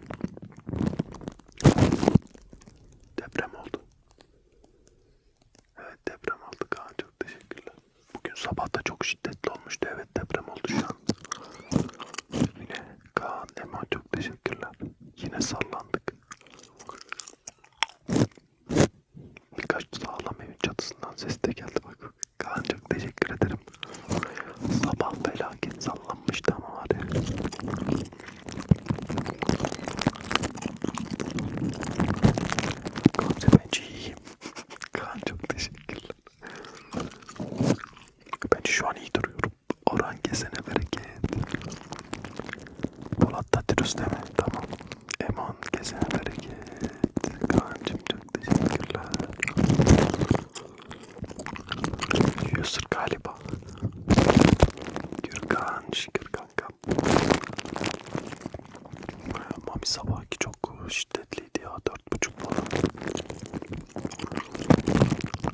Deprem oldu. Evet deprem oldu Kaan çok teşekkürler. Bugün sabah da çok şiddetli olmuştu. Evet deprem oldu şu an. Yine Kaan Eman çok teşekkürler. Yine sallandık. Birkaç sağlam evin çatısından ses de geldi bak. Kaan çok teşekkür ederim. Sabah felaket sallanmıştı ama var ya. Gamze bence iyiyim. Kaan çok teşekkürler. Bence şu an iyi duruyorum. Orhan kesene bereket. Polat Tatirus deme. Tamam. Eman kesene bereket. Kaan'cım çok teşekkürler. Yusur galiba. Gürkan, şükür kanka. Mami sabahki çok şiddetliydi ya. Dört buçuk falan.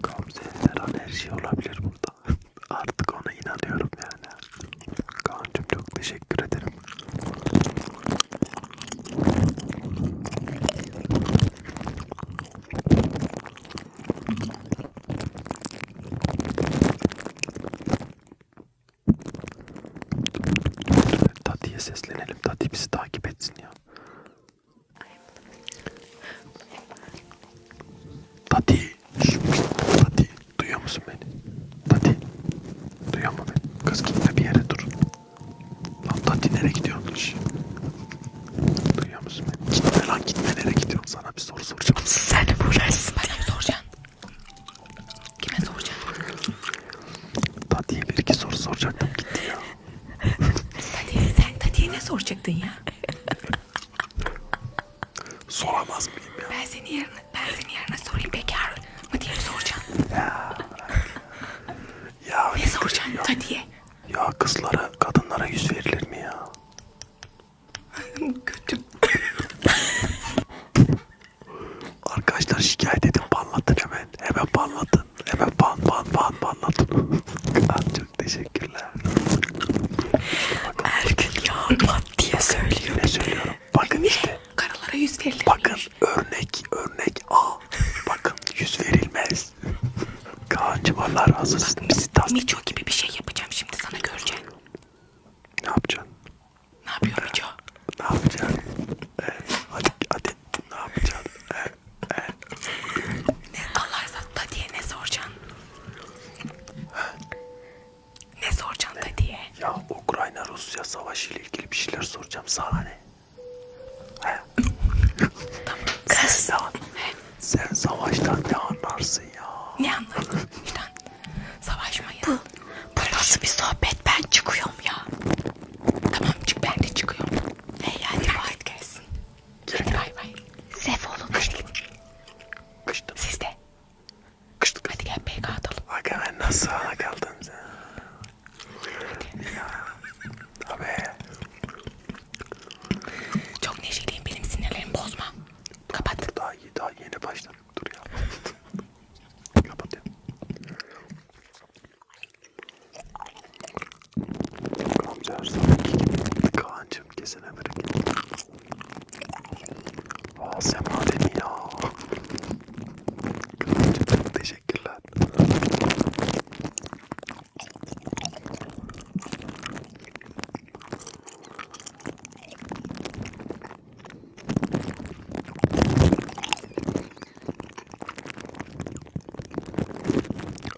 Gamze her an her şey olabilir burada. Artık ona inanıyorum yani. Kaan'cım çok teşekkür ederim. Tati'ye seslenelim. Tati bizi takip etsin ya. Tati. Tati. Duyuyor musun beni? Tati. Duyuyor mu beni? Kız gitme bir yere dur. Lan da nereye gidiyorsun iş? Duyuyor musun beni? Gitme lan gitme nereye gidiyorsun? Sana bir soru soracağım. Sen de uğraşsın bana mı soracaksın? Kime soracaksın? Tati'ye bir iki soru soracaktım gitti ya. Tati'ye sen Tati'ye ne soracaktın ya? Soramaz mıyım ya? Ben seni yarına, ben seni yarına sorayım bekar mı diye soracağım. Ya. ya ne şey soracaksın Tati'ye? Ya kızlara, kadınlara yüz verilir mi ya? Kötü. Arkadaşlar şikayet edin, banlatın hemen. Hemen banlatın. Hemen ban ban ban banlatın. Çok teşekkürler. Erkek yağmat diye söylüyor. Ne söylüyorum? Bakın işte. Karılara yüz verilir. Bakın örnek, örnek A. Bakın yüz verilmez biz. Kaan'cım Allah razı olsun. Bizi tasdik. Mico gibi bir şey yapacağım şimdi sana göreceksin. Ne yapacaksın? Ne yapıyor Mico? Ne yapacaksın? Evet, hadi hadi ne yapacaksın? Evet, evet. Ne Allah razı diye ne soracaksın? ne soracaksın da ee, diye? Ya Ukrayna Rusya savaşı ile ilgili bir şeyler soracağım sana ne? He? tamam. Kız. Tamam. Sen savaştan ne anlarsın ya? Ne anlarım? Lütfen savaşmayın. Bu, bu nasıl bir sohbet? Ben çıkıyorum ya. Tamam çık ben de çıkıyorum. Hey hadi bay gelsin. Hadi bay bay. Sef olun. Kıştım. Kıştım. Siz de. Kıştım. Hadi gel PK atalım. Aga ben nasıl ana kaldım sen? Hadi. Ya. Tabii. Çok neşeliyim benim sinirlerimi bozma. Kapat. Dur, daha iyi daha yeni başladık dur ya. Kapat ya. Amca her zamanki gibi Kaan'cım kesene bırak. Aa Sema Demir ya. Kaan'cım çok teşekkürler.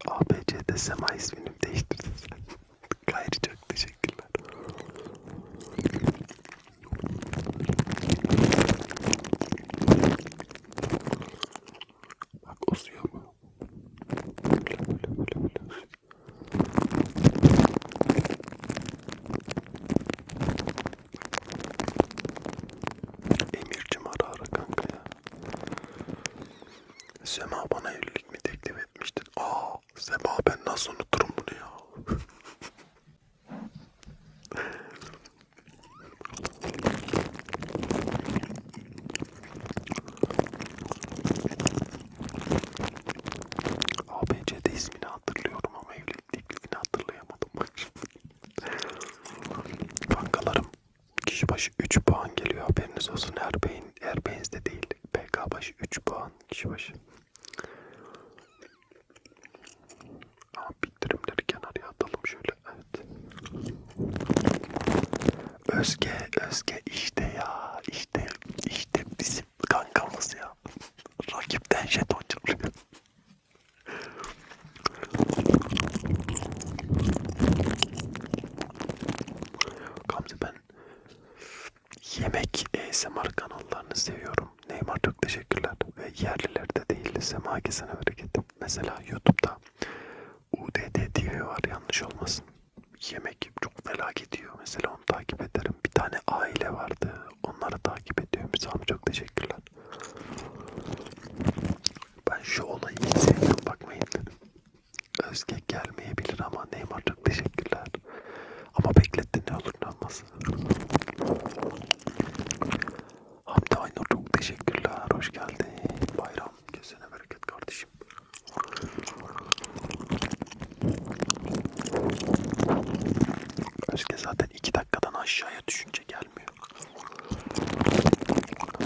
ABC'de Sema ismini değiştirdin sen. Gayri çok teşekkürler. Bak uzuyor mu? Emircim ara ara kanka ya. Sema bana evlilik mi teklif etmiştin? Aa Sema ben nasıl unuturum bunu ya? ABC'de ismini hatırlıyorum ama evlilik teklifini hatırlayamadım bak Bankalarım kişi başı 3 puan geliyor haberiniz olsun Erbeğin, Erbeğinizde değil PK başı 3 puan kişi başı Aa, bildirimleri kenarıya atalım şöyle evet. Özge, Özge işte ya, işte, işte bizim kankamız ya. Rakipten jeton çalıyor. Gamze ben yemek e, ASMR kanallarını seviyorum. Neymar çok teşekkürler ve yerlilerde değil Sema Gezen'e hareket. Mesela YouTube'da UDD TV var yanlış olmasın. Yemek çok felaket yiyor mesela onu takip ederim. Bir tane aile vardı. Onları takip ediyorum. Sami çok teşekkürler. Ben şu olayı hiç sevmiyorum bakmayın dedim. Özge gelmeyebilir ama Neymar çok teşekkürler. Ama beklettin ne olur ne olmaz. Hamdi Aynur çok teşekkürler. Hoş geldin. Bayram. Kesene bereket kardeşim. Özge zaten 2 dakikadan aşağıya düşünce gelmiyor.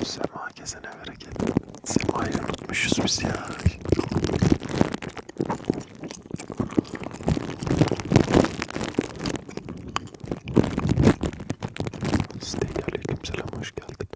Sema kesene bereket. Sema'yı unutmuşuz biz ya. Siteye aleyküm selam hoş geldik.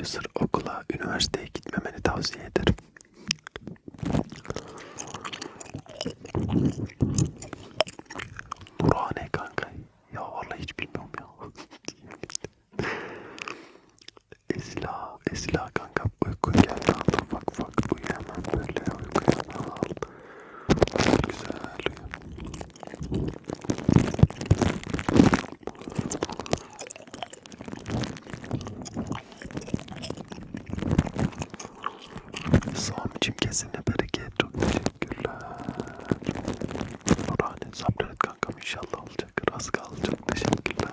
User okula, üniversiteye gitmemeni tavsiye ederim. Durağı ne kanka? Ya vallahi hiç bilmiyorum ya. Esla, Esla kanka uyku geldi aldım. Bak bak uyuyamam böyle uyku aldım. Güzel. Sami'cim kesine bereket. Çok teşekkürler. Nurhane sabret kankam inşallah olacak. Rast kalacak. Teşekkürler.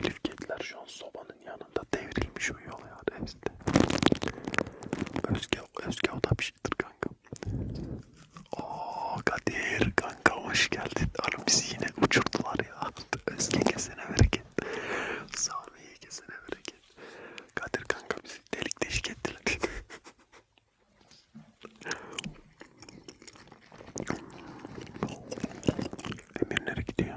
Elif kediler şu an sobanın yanında devrilmiş uyuyor ya Özge. Özge, Özge o da bir şeydir kanka. Ooo Kadir kanka hoş geldin. Oğlum bizi yine uçurdular ya. Özge kesene bereket. Sami'ye kesene bereket. Kadir kanka bizi delik deşik ettiler. Emir nereye gidiyor?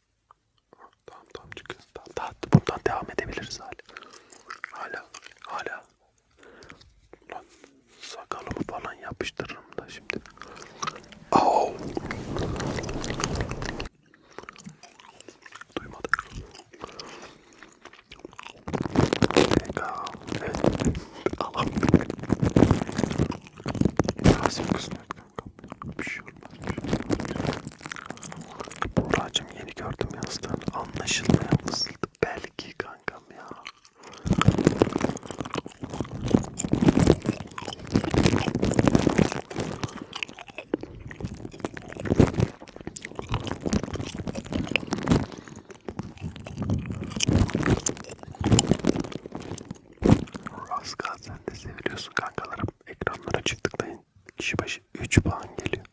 Tamam tamam çık. Tamam, daha, bundan devam edebiliriz hala. Hala. Hala. Lan sakalımı falan yapıştırırım da şimdi. Oh. Duymadı. Peka. Evet. Alam. Nasıl kısmet? Bir şey olmaz. Buracım yeni gördüm yazdığını. Anlaşılmayan fısıldı. Belki kankam ya. Raska sen de seviliyorsun kankalarım. Ekranlara çıktıklayın için kişi başı 3 puan geliyor.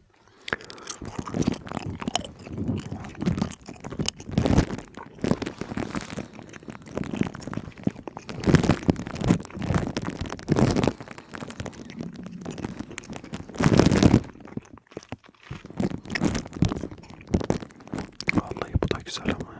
Vallahi bu da güzel ama ya.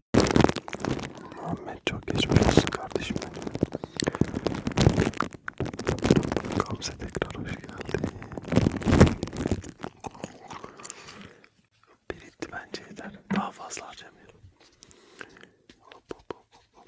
Muhammed çok geçmiş olsun kardeşim benim. Gamze tekrar hoş geldin. Biritti bence yeter. Daha fazla harcamıyorum. Hop hop hop hop.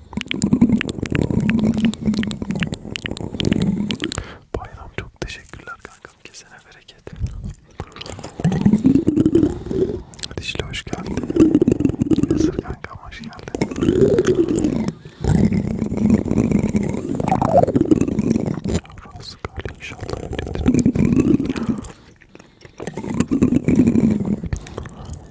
Bayram çok teşekkürler kankam kesene bereket. Dişli hoş geldin. Yazır kankam hoş geldin. Rası kalın inşallah.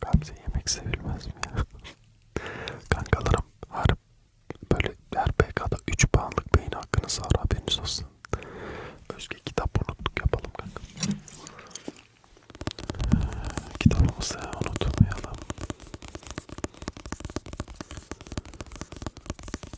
Gamze yemek sevilmez mi ya? Kankalarım harp böyle her PK'da 3 puanlık beyin hakkınız var haberiniz olsun. Özge kitap unuttuk yapalım kanka. Kitabımızı unutmayalım.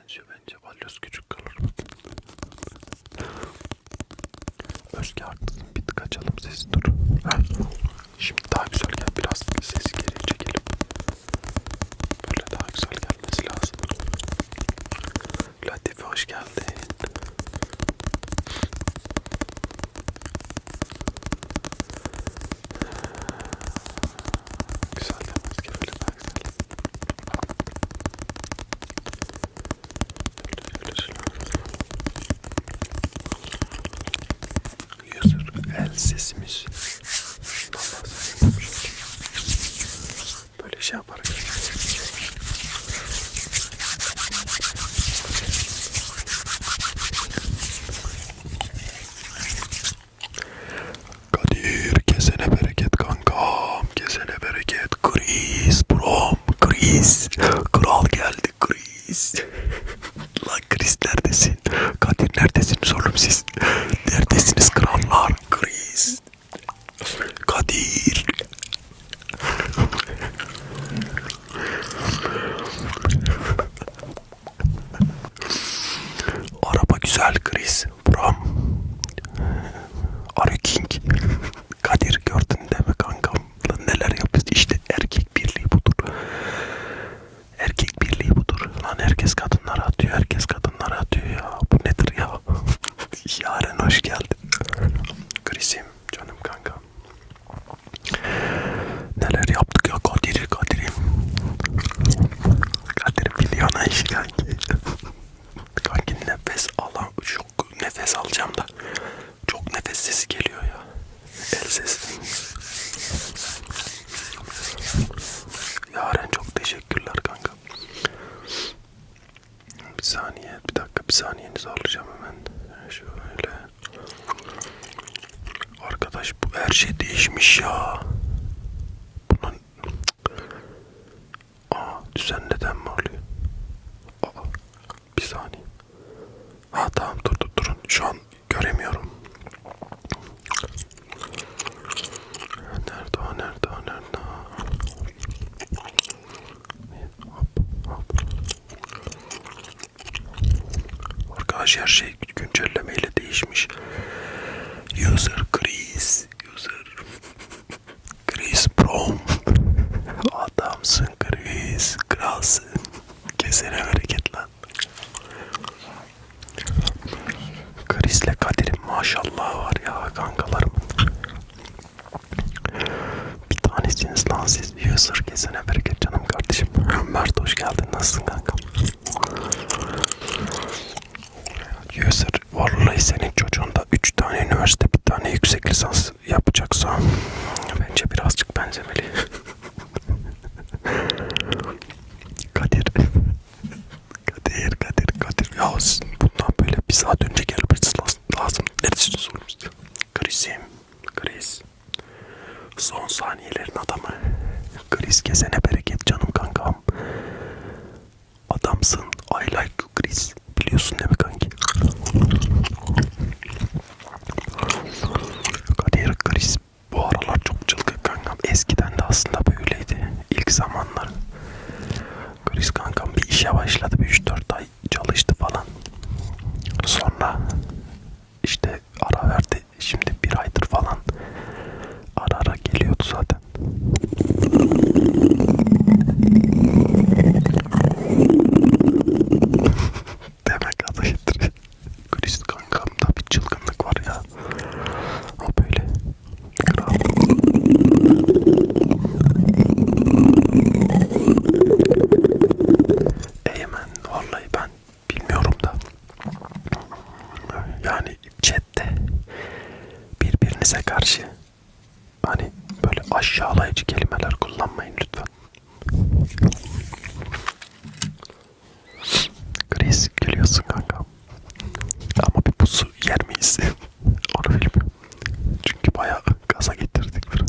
benziyor bence. Balyoz küçük kalır. Özge artık bir tık açalım sesi dur. Şimdi daha güzel gel. Biraz sesi geriye çekelim. Böyle daha güzel gelmesi lazım. Latife hoş geldin. Güzel demez ki böyle User el sesimiz böyle şey yaparak Kadir kesene bereket kankam. Kesene bereket. Chris brom. Chris. Kral geldi Chris. Lan Chris neredesin? Kadir neredesiniz oğlum siz? Neredesiniz krallar? Chris. Kadir. Araba güzel Chris. Brom. Arı King. Kadir gördün değil mi kankam? Lan neler yapıyorsun? İşte erkek birliği budur. Erkek birliği budur. Lan herkes kadınlara atıyor. Herkes kadınlara atıyor ya. Bu nedir ya? Yaren hoş geldin. Krisim canım kanka. Neler yaptık ya Kadir Kadir'im. Kadir biliyor ne işi kanki. Kanki nefes alan çok nefes alacağım da çok nefes sesi geliyor ya. El sesi. Yaren çok teşekkürler kanka. Bir saniye, bir dakika, bir saniyenizi alacağım hemen. Şöyle. Arkadaş bu her şey değişmiş ya. Bunun Aa düzen neden mi oluyor? Aa bir saniye. Ha tamam dur dur durun şu an göremiyorum. Nerede o nerede o nerede Hop hop. Arkadaş her şey güncellemeyle değişmiş. User Chris Chris user Chris Prom Adamsın Chris Kralsın Kesene hareket lan Chris'le Kadir'in maşallah var ya kankalarımın Bir tanesiniz lan siz user kesene hareket canım kardeşim Mert hoş geldin nasılsın kanka User Vallahi senin çocuğun da 3 tane üniversite bir tane yüksek lisans yapacaksa bence birazcık benzemeli. Kadir. Kadir, Kadir, Kadir. Ya bundan böyle bir saat önce gelmesi lazım. Neresini sormuş? Krizim. Kriz. Son saniyelerin adamı. Kriz kesene bereket canım kankam. Adamsın. I like you Chris. Biliyorsun değil mi kanki? Kadir Chris bu aralar çok çılgın kankam. Eskiden de aslında böyleydi. İlk zamanlar. Chris kankam bir işe başladı. Bir 3-4 ay çalıştı falan. Sonra işte ara verdi. Şimdi bir aydır falan ara ara geliyordu zaten. Demek adı getirir. Chris kankamda bir çılgınlık var ya. O böyle. Kral. Eymen vallahi ben bilmiyorum da. Yani chatte birbirinize karşı hani böyle aşağılayıcı kelimeler kullanmayın lütfen. Chris gülüyorsun kanka. Ama bir pusu yer miyiz? Onu bilmiyorum. Çünkü bayağı gaza getirdik biraz.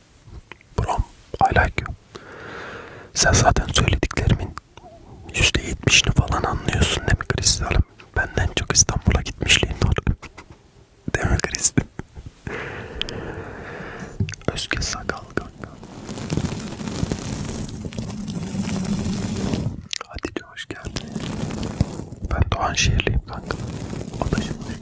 Brom, I like you. Sen zaten söylediklerimin %70'ini falan anlıyorsun değil mi Kristal'ım? Benden çok İstanbul'a gitmişliğin var. Değil mi Kristal? Özge sakal kanka. Hatice hoş geldin. Ben Doğan Şehirliyim benim kankam. O da şimdi.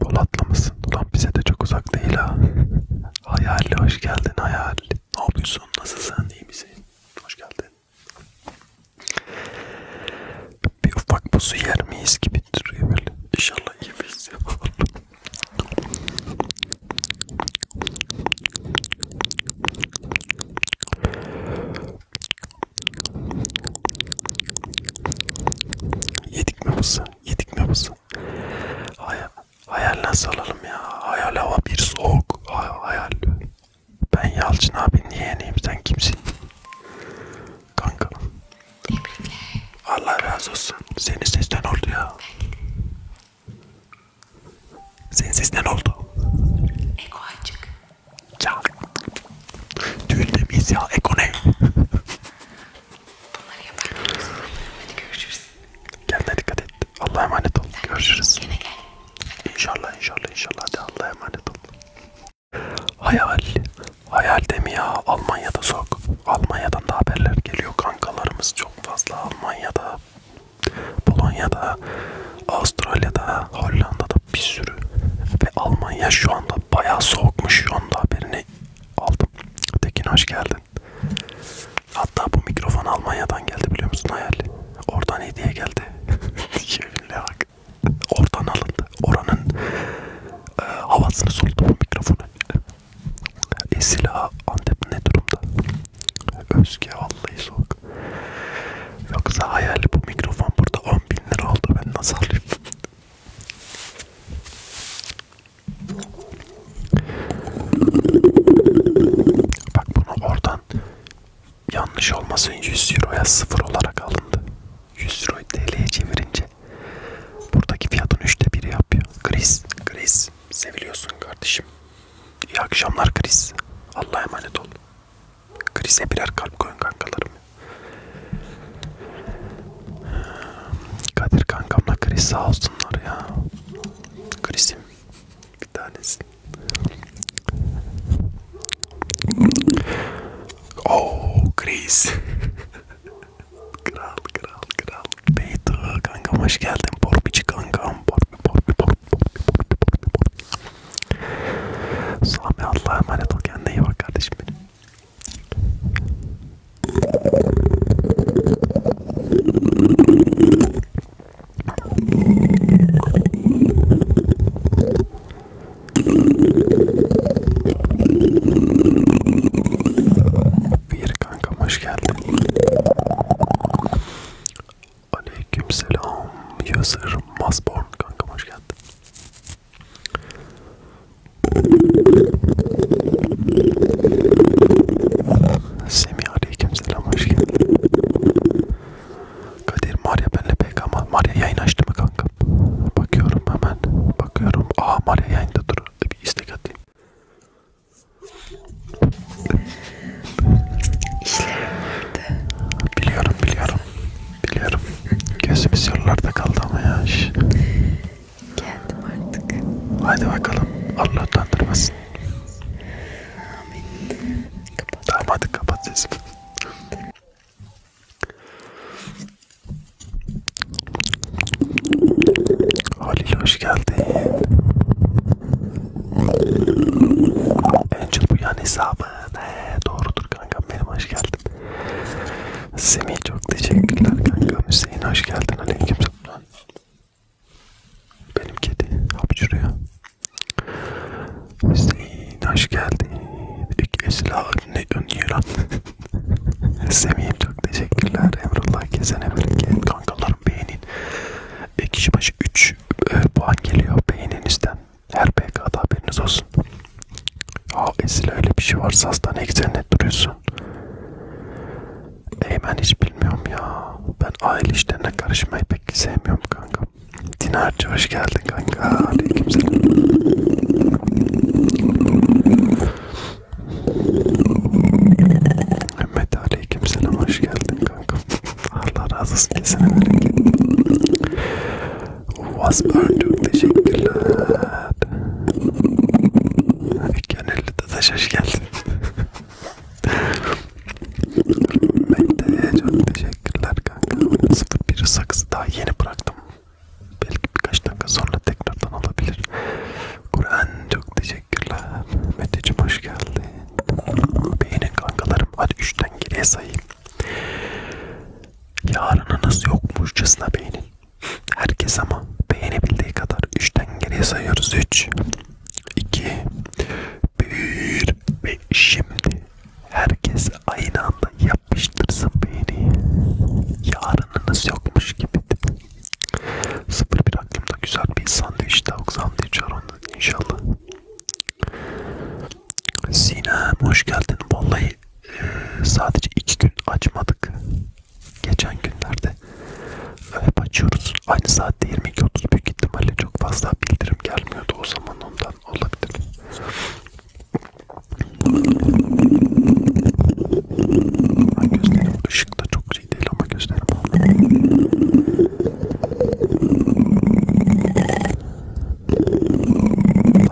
Polat'la mısın? Ulan bize de çok uzak değil ha. Hayali hoş geldin hayal. Ne yapıyorsun? Nasılsın? İyi misin? Hoş geldin. Bir ufak buzu yer miyiz gibi duruyor böyle. İnşallah yemeyiz ya. Yedik mi mısın? Yedik mi mısın? Hayal, hayal nasıl alalım ya? Hayal hava bir soğuk. Hayal, hayal. Ben Yalçın abi niye yeneyim sen kimsin? Kanka. Tebrikler. Allah razı olsun. Senin sesten oldu ya. Senin sesten oldu. Eko açık. Çak. Düğünde miyiz ya? Eko ne? Bunları yaparız. Hadi görüşürüz. Kendine dikkat et. Allah'a emanet ol. Sen görüşürüz. Yine gel. İnşallah inşallah inşallah. Hadi Allah'a emanet ol. Hayal. Hayal demi ya. Almanya'da sok. Almanya'dan da haberler geliyor. Kankalarımız çok çok fazla Almanya'da, Polonya'da, Avustralya'da, Hollanda'da bir sürü ve Almanya şu anda bayağı soğukmuş. Şu anda haberini aldım. Tekin hoş geldin. Hatta bu mikrofon Almanya'dan geldi biliyor musun hayal? Oradan hediye geldi. Yeminle bak. Oradan alındı. Oranın e, havasını soludu bu mikrofonu. E silah Antep ne durumda? Özge vallahi soğuk. Yoksa hayali bu mikrofon burada 10 bin lira oldu ben nasıl alayım? Bak bunu oradan yanlış olmasın 100 euroya sıfır olarak alındı. 100 euroyu TL'ye çevirince buradaki fiyatın üçte biri yapıyor. Kriz, kriz. Chris. Seviliyorsun kardeşim. İyi akşamlar Chris. Allah'a emanet ol. Chris'e birer kalp koyun kankalarım. Kadir kankamla Chris sağ olsunlar ya. Chris'im bir tanesi. Oh Chris. Kral kral kral. Beytu kankam hoş geldin. Porpici kankam. Porpi porpi porpi porpi porpi porpi porpi. Sami Allah'a emanet ol. Kendine iyi bak kardeşim benim. Bir kanka hoş geldin. Aleykümselam. Yazır Masborn kanka hoş geldin. Semih aleykümselam hoş geldin. Kadir Maria benle pek ama Maria yayın açtı mı kanka? Bakıyorum hemen. Bakıyorum. Aa Maria yayında dur. Bir istek atayım. İşlerim vardı. Biliyorum biliyorum. Biliyorum. Gözümüz yollarda kaldı ama ya. Geldim artık. Haydi bakalım. Allah utandırmasın. Amin. Kapat. Tamam hadi kapat sesini. Halil hoş geldin. Angel bu yan hesabın. He, doğrudur kankam benim hoş geldin. Semih çok teşekkürler kankam. Hüseyin hoş geldin. Aleyküm selam. Benim kedi hapşırıyor. Hüseyin hoş geldin. İlk esla ne ön yıran. Semih'im çok teşekkürler Emrullah kesene bereket kankalarım beğenin. E, kişi başı 3 e, puan geliyor beğeninizden. Her PK'da haberiniz olsun. Aa Esil öyle bir şey varsa hastane güzel duruyorsun. Eymen hiç bilmiyorum ya. Ben aile işlerine karışmayı pek sevmiyorum kanka. Dinarcı hoş geldin kanka. Aleykümselam. Mehmet aleyküm selam hoş geldin kanka. Allah razı olsun kesene bereket. Wasburn çok teşekkürler. Gönüllü Dadaş hoş geldin. Mehmet'e çok teşekkürler kanka. 01 saksı daha yeni bıraktım. Belki birkaç dakika sonra tekrardan olabilir. Kur'an çok teşekkürler. Meteciğim hoş geldin. Beğenin kankalarım. Hadi üçten geriye sayayım. Yarınınız yokmuşçasına beğenin. Herkes ama beğenebildiği kadar üçten geriye sayıyoruz. Üç, iki, bir ve şimdi herkes aynı anda yapıştırsın beğeni. Yarınınız yokmuş gibi. Sıfır bir aklımda güzel bir sandviç tavuk sandviç var ondan inşallah. Sinem hoş geldin. Vallahi e, sadece iki gün açmadık. Geçen günlerde hep açıyoruz. Aynı saatte 22.30 büyük ihtimalle çok fazla bildirim gelmiyordu o zaman ondan olabilir. Gözlerim ışıkta çok tercih değil ama gözlerim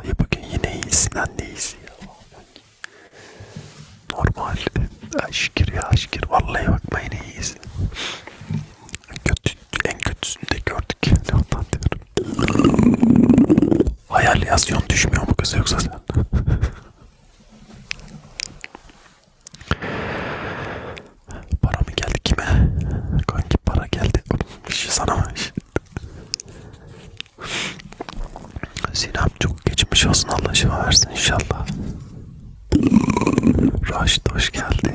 Dayı bugün yine iyisin anne iyisin ya. Normal aşkir ya aşkir vallahi bakma yine iyisin. Kötü, en kötüsünü de gördük yani ondan diyorum. Hayal yazıyorsun düşmüyor mu kız yoksa sen? Para mı geldi kime? Kanki para geldi. Bir şey sana mı? Sinem çok geçmiş olsun Allah şifa versin inşallah. Raşit hoş geldi.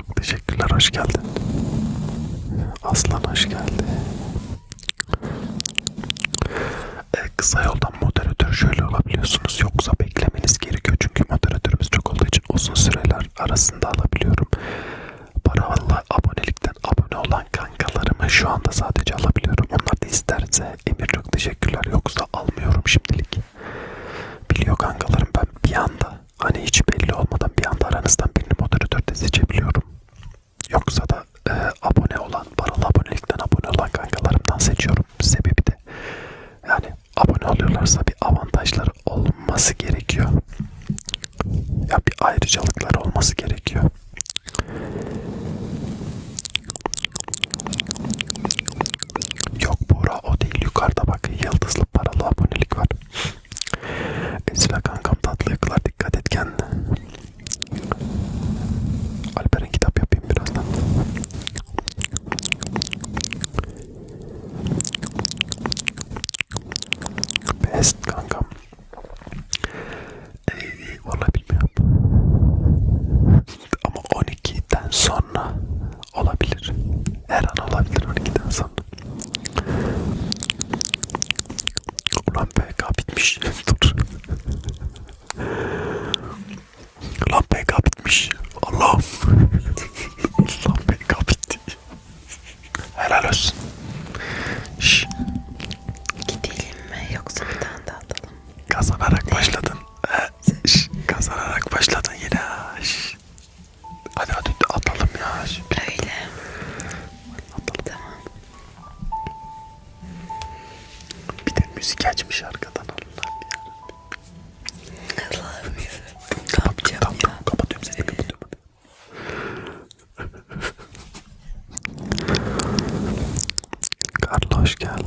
Çok teşekkürler, hoş geldin. Aslan hoş geldi. E, kısa yoldan moderatör şöyle olabiliyorsunuz. Yoksa beklemeniz gerekiyor. Çünkü moderatörümüz çok olduğu için uzun süreler arasında alabiliyorum. Para valla abonelikten abone olan kankalarımı şu anda sadece alabiliyorum. Onlar da isterse Emir çok teşekkürler. Yoksa almıyorum şimdilik. Biliyor kankalarım ben bir anda hani hiç belli olmadan bir anda aranızdan birini moderatörde seçebiliyorum. Yoksa da e, abone olan, paralı abonelikten abone olan kankalarımdan seçiyorum. Sebebi de yani abone oluyorlarsa bir avantajları olması gerekiyor. Ya bir ayrıcalıkları olması gerekiyor. Yok Buğra o değil yukarıda bak yıldızlı paralı abonelik var. Esra kankam tatlı yakılar dikkat et kendine. Alperen kitap yapayım birazdan. Best kankam. Ee, vallahi bilmiyorum. Ama 12'den sonra olabilir. Her an olabilir 12'den sonra insan. Ulan PK bitmiş. Dur. Lan PK bitmiş. Allah'ım. Lan PK bitti. Helal olsun. Şş. Gidelim mi yoksa bir tane daha atalım? Kazanarak başladın. Şş. Kazanarak başladın yine. Şş. Hadi hadi atalım ya. Şimdi. Öyle. Atalım. Tamam. Bir de müzik açmış arkadan Allah'ım ya. Allah'ım ya. Ne yapacağım tamam, ya? Tamam kapatıyorum seni kapatıyorum. Karla hoş geldin.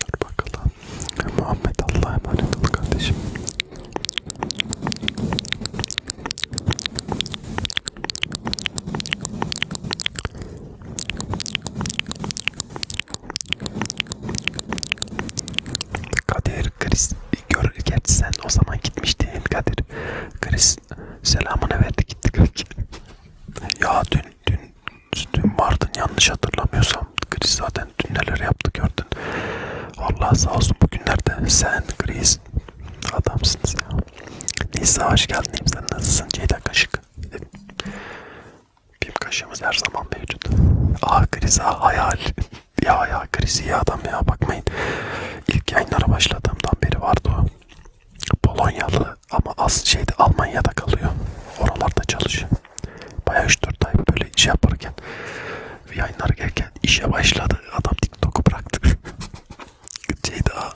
Dur bakalım. Muhammed Allah'a emanet ol kardeşim. Kadir, Chris, gör, gerçi sen o zaman gitmiştin Kadir. Chris selamını verdi gitti. ya dün, dün dün vardın yanlış hatırlamıyorsam. Chris zaten dün neler yaptı gördün. Allah sağ olsun bugünlerde sen Chris adamsınız ya. Nisa hoş geldin. Sen nasılsın? Ceyda Kaşık. Pim kaşığımız her zaman mevcut. Ah Chris ah hayal. ya ya Chris iyi adam ya bakmayın. İlk yayınlara başladığımdan beri vardı o. Polonyalı ama az şeyde Almanya'da kalıyor. Oralarda çalışıyor. Bayağı 3-4 ay böyle iş yaparken yayınlar gelirken işe başladı. Adam TikTok'u bıraktı. Ceyda.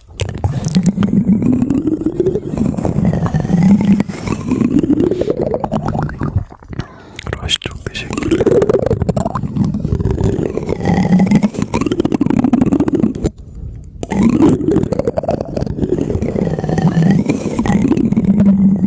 Roş çok teşekkürler.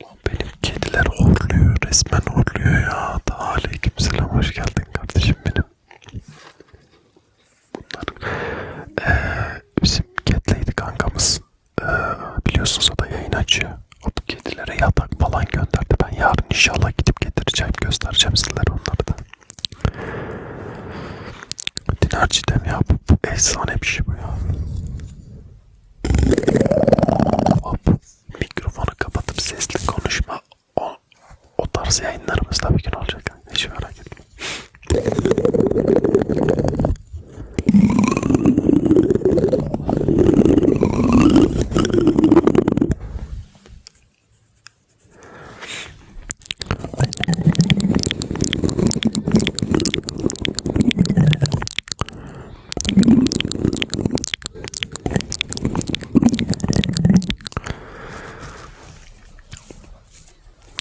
Ulan benim kediler horluyor, resmen horluyor ya. Da aleykümselam hoş geldin kardeşim benim. Bunlar ee, bizim kedileydi kankamız. Ee, biliyorsunuz o da yayın açıyor. O bu kedilere yatak falan gönderdi. Ben yarın inşallah gidip getireceğim, göstereceğim sizlere onları da. Dinarci dem ya Efsane bir şey bu ya. Hop. Mikrofonu kapatıp sesli konuşma. O, o tarz yayınlarımız da bir gün olacak. Hiç merak etme.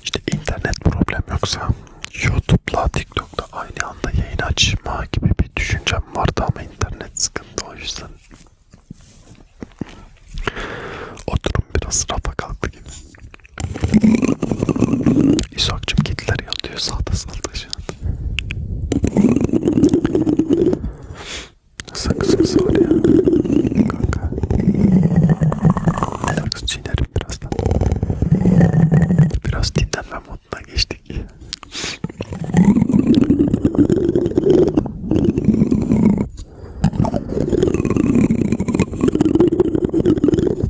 İşte internet problem yoksa YouTube'la TikTok'ta aynı anda yayın açma gibi bir düşüncem vardı ama internet sıkıntı o yüzden o durum biraz rafa kalktı gibi. İshak'cım kediler yatıyor sağda solda şu an. Sakız sakız var ya. Kanka. Sakız çiğnerim birazdan. Biraz dinlenme moduna geçtik.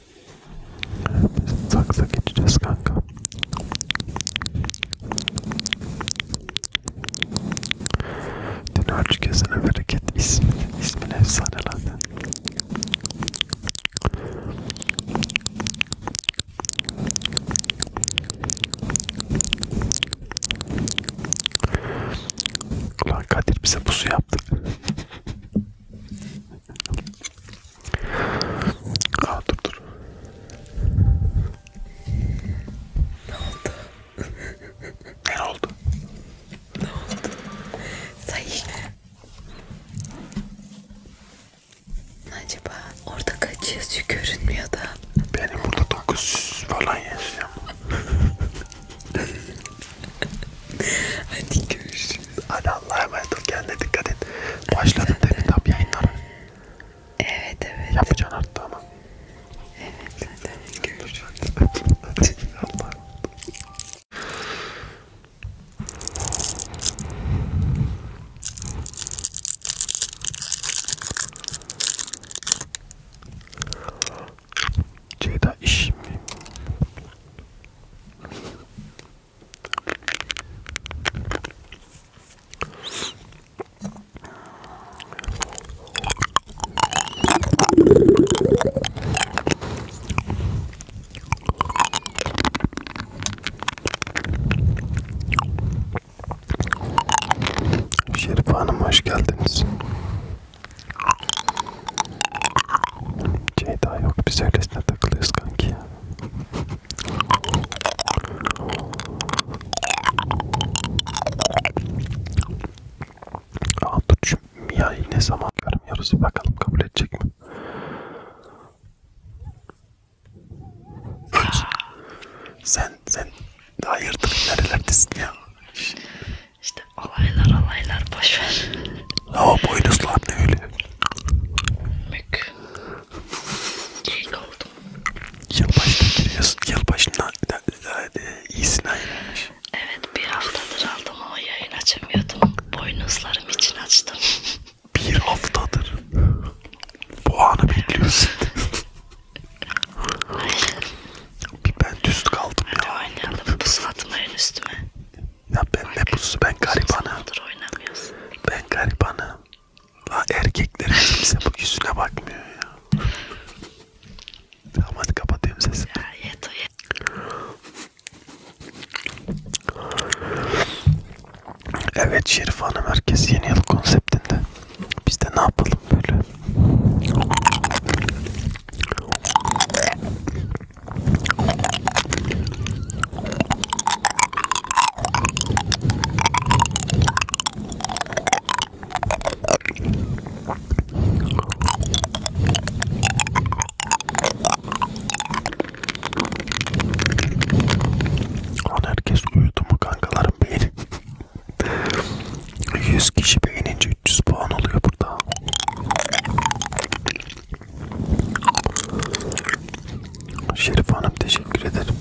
Biz saksa geçeceğiz kanka. Dinar kesene bereket ismi, ismin efsane lan. Ulan Kadir bize pusu yaptı. Aa dur dur. Ne oldu? ne oldu? Ne oldu? Say. Acaba orada kaç yazıyor görünmüyor da. Benim burada 900 falan yaşıyorum. Hadi görüşürüz. Hadi Allah'a emanet ol. Kendine dikkat et. Başladın değil mi tap yayınlara? Evet evet. Yapacaksın artık ama. Evet hadi görüşürüz. Allah'a emanet Ceyda iş mi? Şerife Hanım hoş geldiniz. Ceyda yok biz öylesine takılıyoruz kanki ya. Aa dur şu Mia'yı ne zaman görmüyoruz bakalım kabul edecek mi? sen sen hayırdır nerelerdesin ya? İşte alaylar alaylar boşver. Ama boynuzlar ne öyle? Mük. Geyik oldum. Yılbaşına giriyorsun. Yılbaşına e, iyisin ayırmış. Evet bir haftadır aldım ama yayın açamıyordum. Boynuzlarım için açtım. bir haftadır. Bu anı bekliyorsun. Bir ben düz kaldım Hadi ya. Hadi oynayalım. Pusatmayın üstüme. Ya ben ne pusu ben garibanım. Ben garibanım. La erkeklerin kimse bu yüzüne bakmıyor ya. Tamam hadi kapatıyorum sesini. Ya yet o yet. Evet Şerif Hanım herkes yeni yıl konseptinde. Biz de ne yapalım böyle? Onu herkes uyudu mu kankalarım beğenin. 100 kişi beğenince 300 puan oluyor burada. Şerif Hanım teşekkür ederim.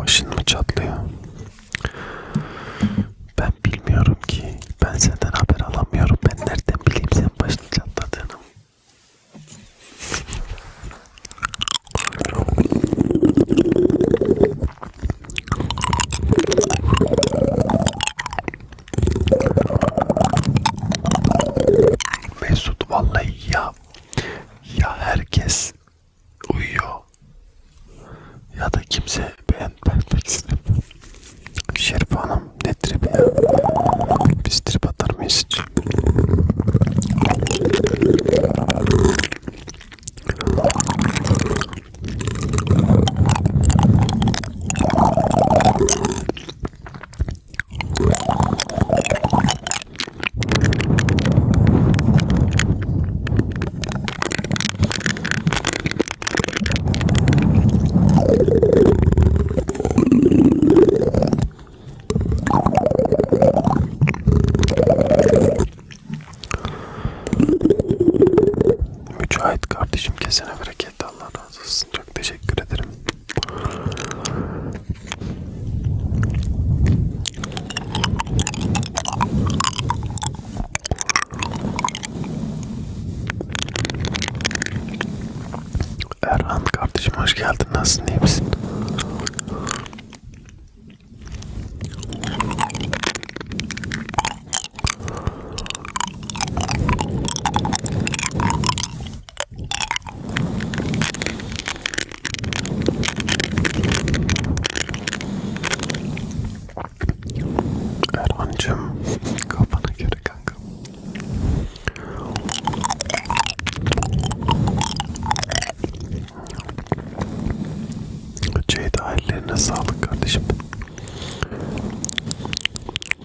Başın mı çatlıyor? Ben bilmiyorum ki. Ben senden haber alamıyorum. Ben nereden bileyim sen başını çatladığını? Mesut vallahi ya ya herkes uyuyor ya da kimse beğenmek istemiyor. Şerif Hanım ne trip ya? Biz trip atar mıyız hiç? Mücahit kardeşim kesene bereket chat Allah razı olsun. Çok teşekkür ederim. Erhan kardeşim hoş geldin. Nasılsın? İyi misin? Erhan'cım kafana göre kankam Ceyda ellerine sağlık kardeşim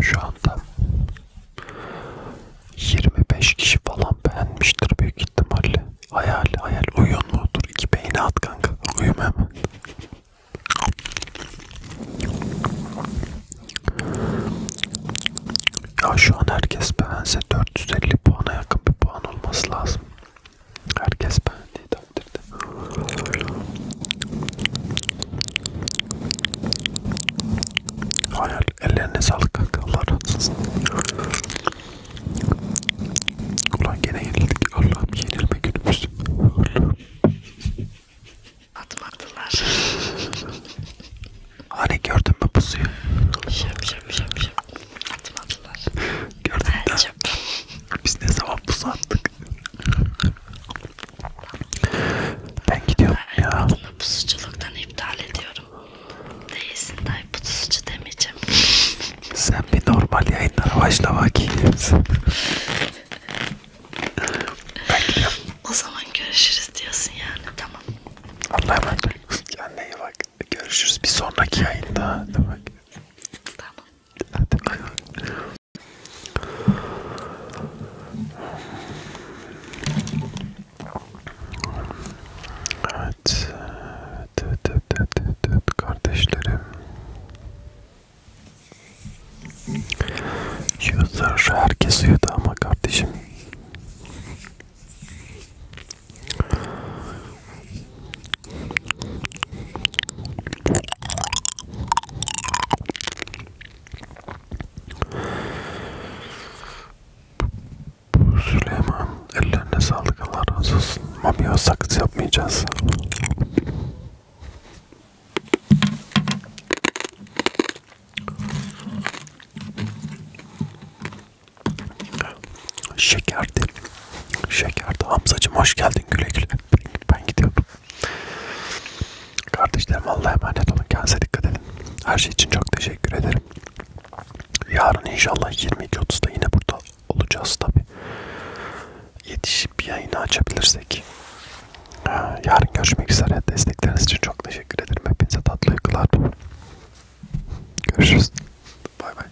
Şu anda 25 kişi falan beğenmiştir büyük ihtimalle. Hayal hayal uyuyor mu? Dur iki beyni at kanka. Uyuma hemen. Ya şu an herkes beğense 450 puana yakın bir puan olması lazım. Herkes beğendi takdirde. Hayal ellerine sağlık kanka. Allah razı olsun. Ulan gene yenildik. Allah'ım yenilme günümüz. Allah'ım. Atmadılar. hani gördün mü pusuyu? Şap şap şap şap. Atmadılar. Gördün mü? Biz ne zaman pusu attık? Ben gidiyorum ya. Adımı pusuculuktan iptal ediyorum. Değilsin dayı pusucu demeyeceğim. Sen bir normal yayınlara başla bakayım. ben gidiyorum. O zaman görüşürüz diyorsun yani tamam. Allah'a emanet olun. Kendine iyi bak. Görüşürüz bir sonraki yayında. Tamam. Hadi bay bay. Evet. Dıt dıt dıt dıt dıt kardeşlerim. User herkes uyudu ama kardeşim. Bu Süleyman ellerine sağlık Allah razı olsun. Mamiyo sakız yapmayacağız. Şekerdi. Şekerdi. Hamzacım hoş geldin güle güle ben gidiyordum. Kardeşlerim Allah'a emanet olun. Kendinize dikkat edin. Her şey için çok teşekkür ederim. Yarın inşallah 22.30'da yine burada olacağız tabi. Yetişip bir yayını açabilirsek. Yarın görüşmek üzere. Destekleriniz için çok teşekkür ederim. Hepinize tatlı uykular. Görüşürüz. Bay bay.